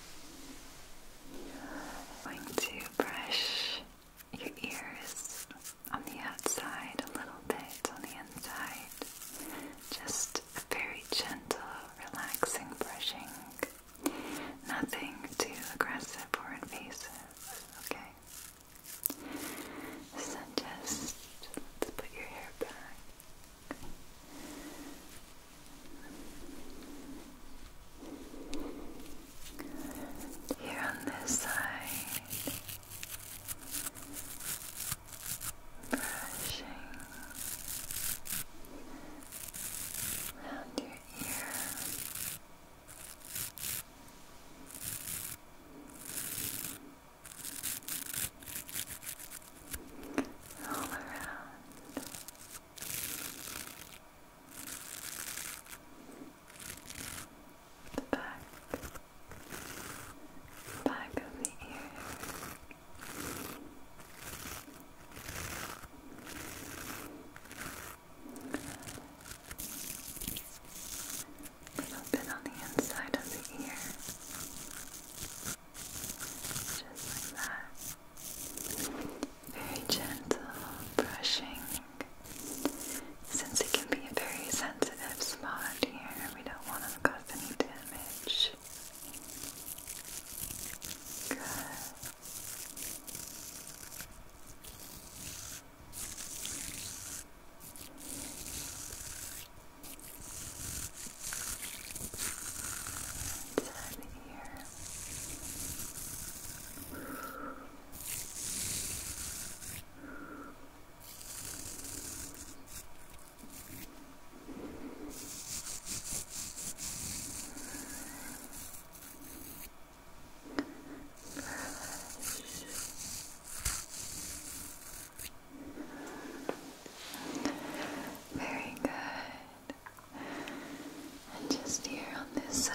I'm going to brush your ears on the outside a little bit, on the inside. Just a very gentle, relaxing brushing. Nothing too aggressive or invasive, okay? So just put your hair back. Here on this side, brushing around your ear all around. The back, back of the ear. little bit on the inside of the ear. Just like that. Very gentle brushing. Since it can be a very sensitive spot here, we don't want to cause any damage. Good. Ten here. Very good and just here on this side.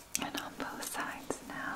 and on both sides now.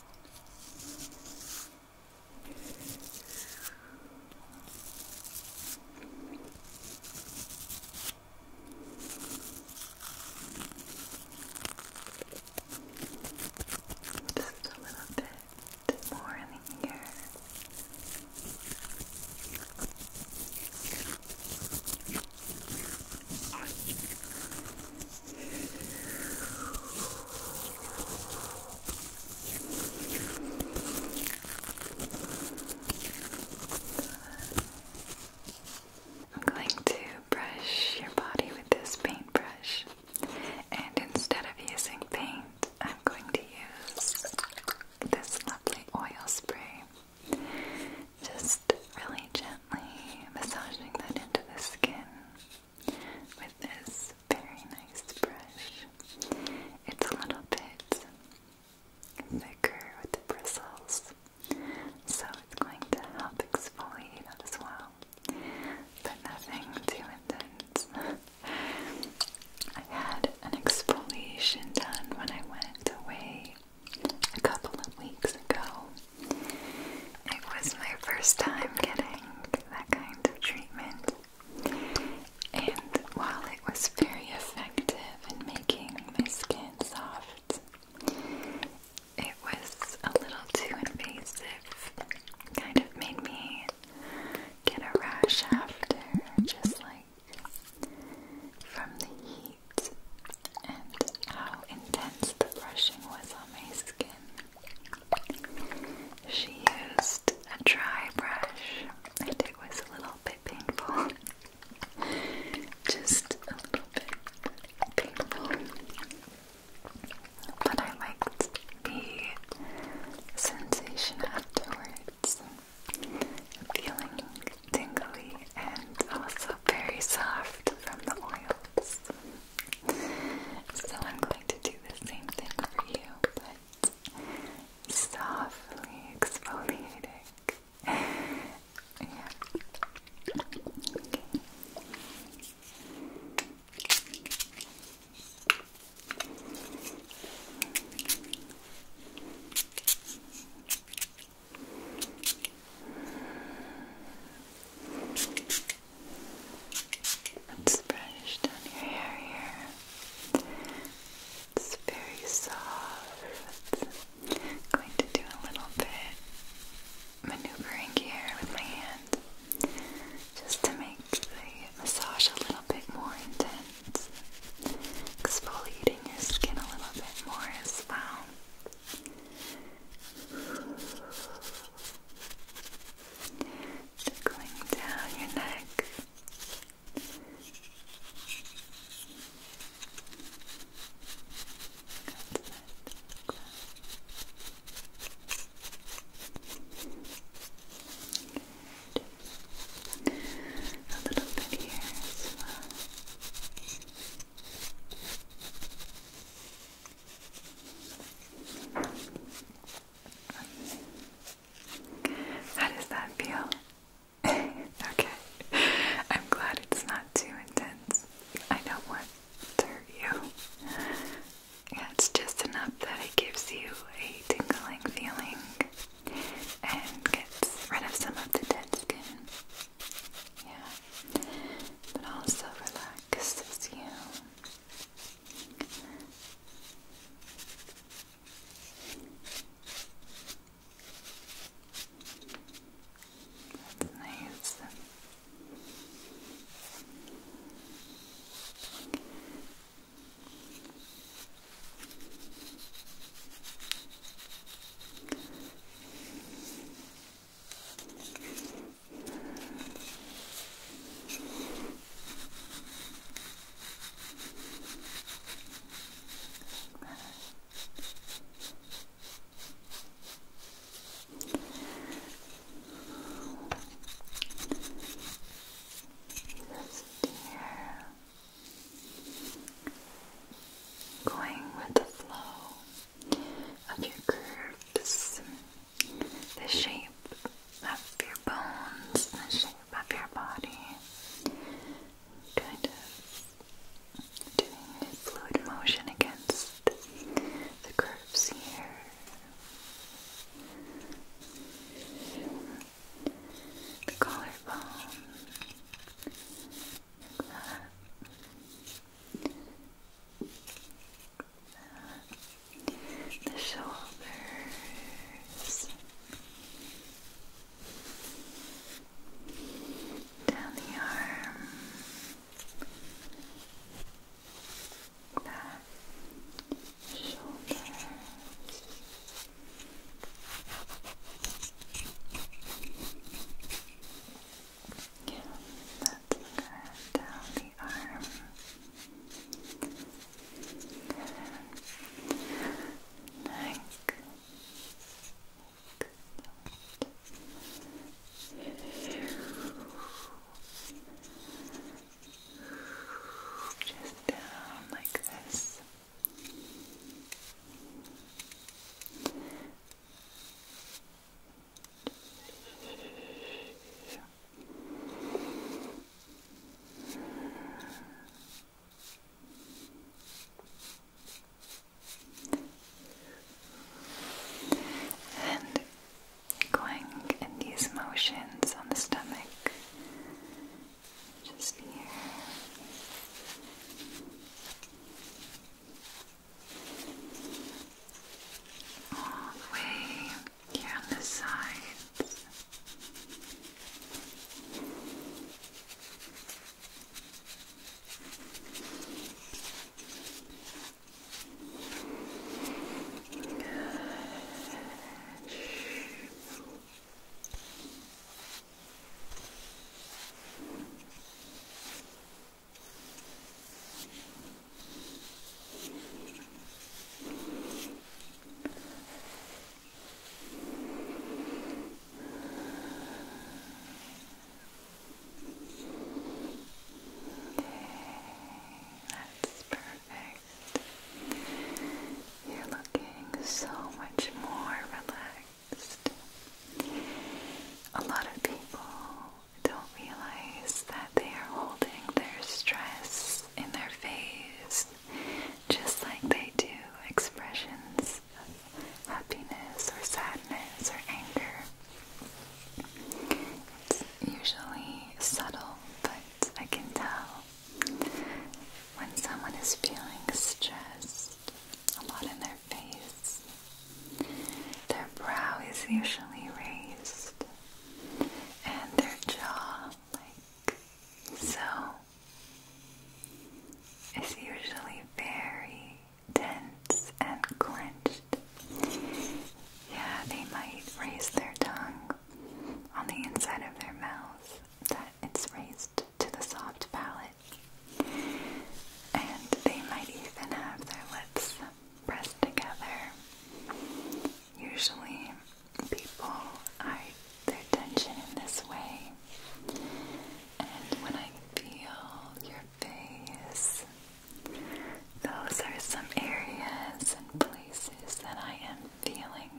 Just a little bit more in here. I'm going to brush your body with this paintbrush, and instead of using paint, I'm going to use this lovely oil spray just really gently massaging that into the skin with this very nice brush. It's a little bit thicker with the bristles, so it's going to help exfoliate out as well, but nothing too intense. I had an exfoliation done when I went away a couple of weeks ago, it was my first time getting that kind of treatment, and while it was very effective in making my skin soft, it was a little too invasive. Kind of made me get a rash after, just like from the heat and how intense the brushing was on my skin. She used a dry brush, and it was a little bit painful. Just a little bit painful. But I liked the sensation afterwards. Feeling tingly and also very soft from the oils. So I'm going to do the same thing for you, but softly exfoliating. Let's brush down your hair here. It's very soft. going to do a little bit maneuvering here with my hand just to make the massage a little bit more intense. Exfoliating your skin a little bit more as well. Just going down your neck. A little bit here as well. How does that feel? okay. I'm glad it's not too intense. I don't want to hurt you. Yeah, it's just enough that it gives you a tingling feeling and gets rid of some of the dead skin. Yeah. But also relaxes you. That's nice. Going with the flow of your curves, the shape of your bones, the shape of your body. Kind of doing fluid motion against the curves here. The collarbone the shoulders, down the arm, back, shoulders. Yeah, that's good. Down the arm. Good. Just down like this. And going in these motions on the stomach, just here all the way here on the sides. Good. Good. That's perfect. You're looking so much more relaxed. A lot of people don't realize that they are holding their stress in their face, just like they do expressions of happiness or sadness or anger. It's usually subtle, but I can tell when someone is feeling stressed, a lot in their face, their brow is usually raised and their jaw, like so, is usually very tense and clenched. Yeah, they might raise their tongue on the inside of their mouth that it's raised to the soft palate. And they might even have their lips pressed together. Usually, people hide their tension in this way. And when I feel your face, those are some areas and places that I am feeling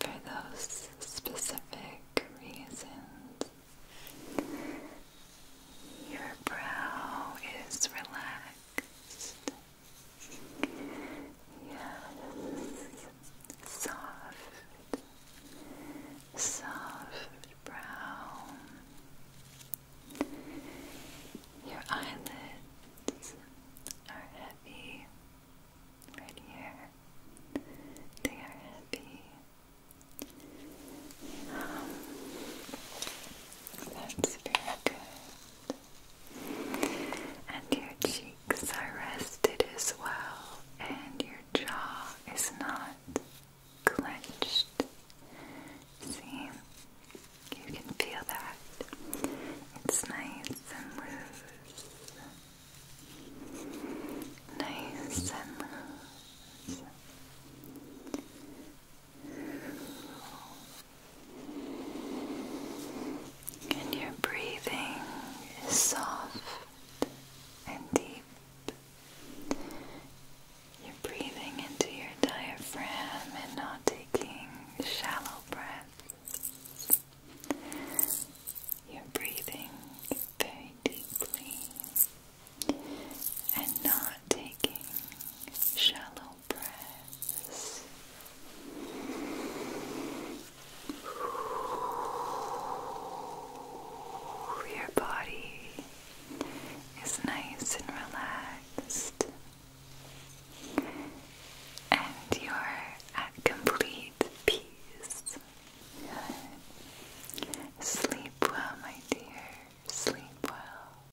for those specific reasons. Your brow is relaxed. Yes, soft, soft brow. Your eyelids are heavy. Right here, they are heavy. That's very good. And your cheeks are rested as well, and your jaw is not clenched. See? You can feel that. It's nice and loose. Nice and and your breathing is soft and deep. You're breathing into your diaphragm and not taking shallow breaths. You're breathing very deeply and not taking shallow breaths. Your body is nice and relaxed, and you're at complete peace. Sleep well, my dear. Sleep well.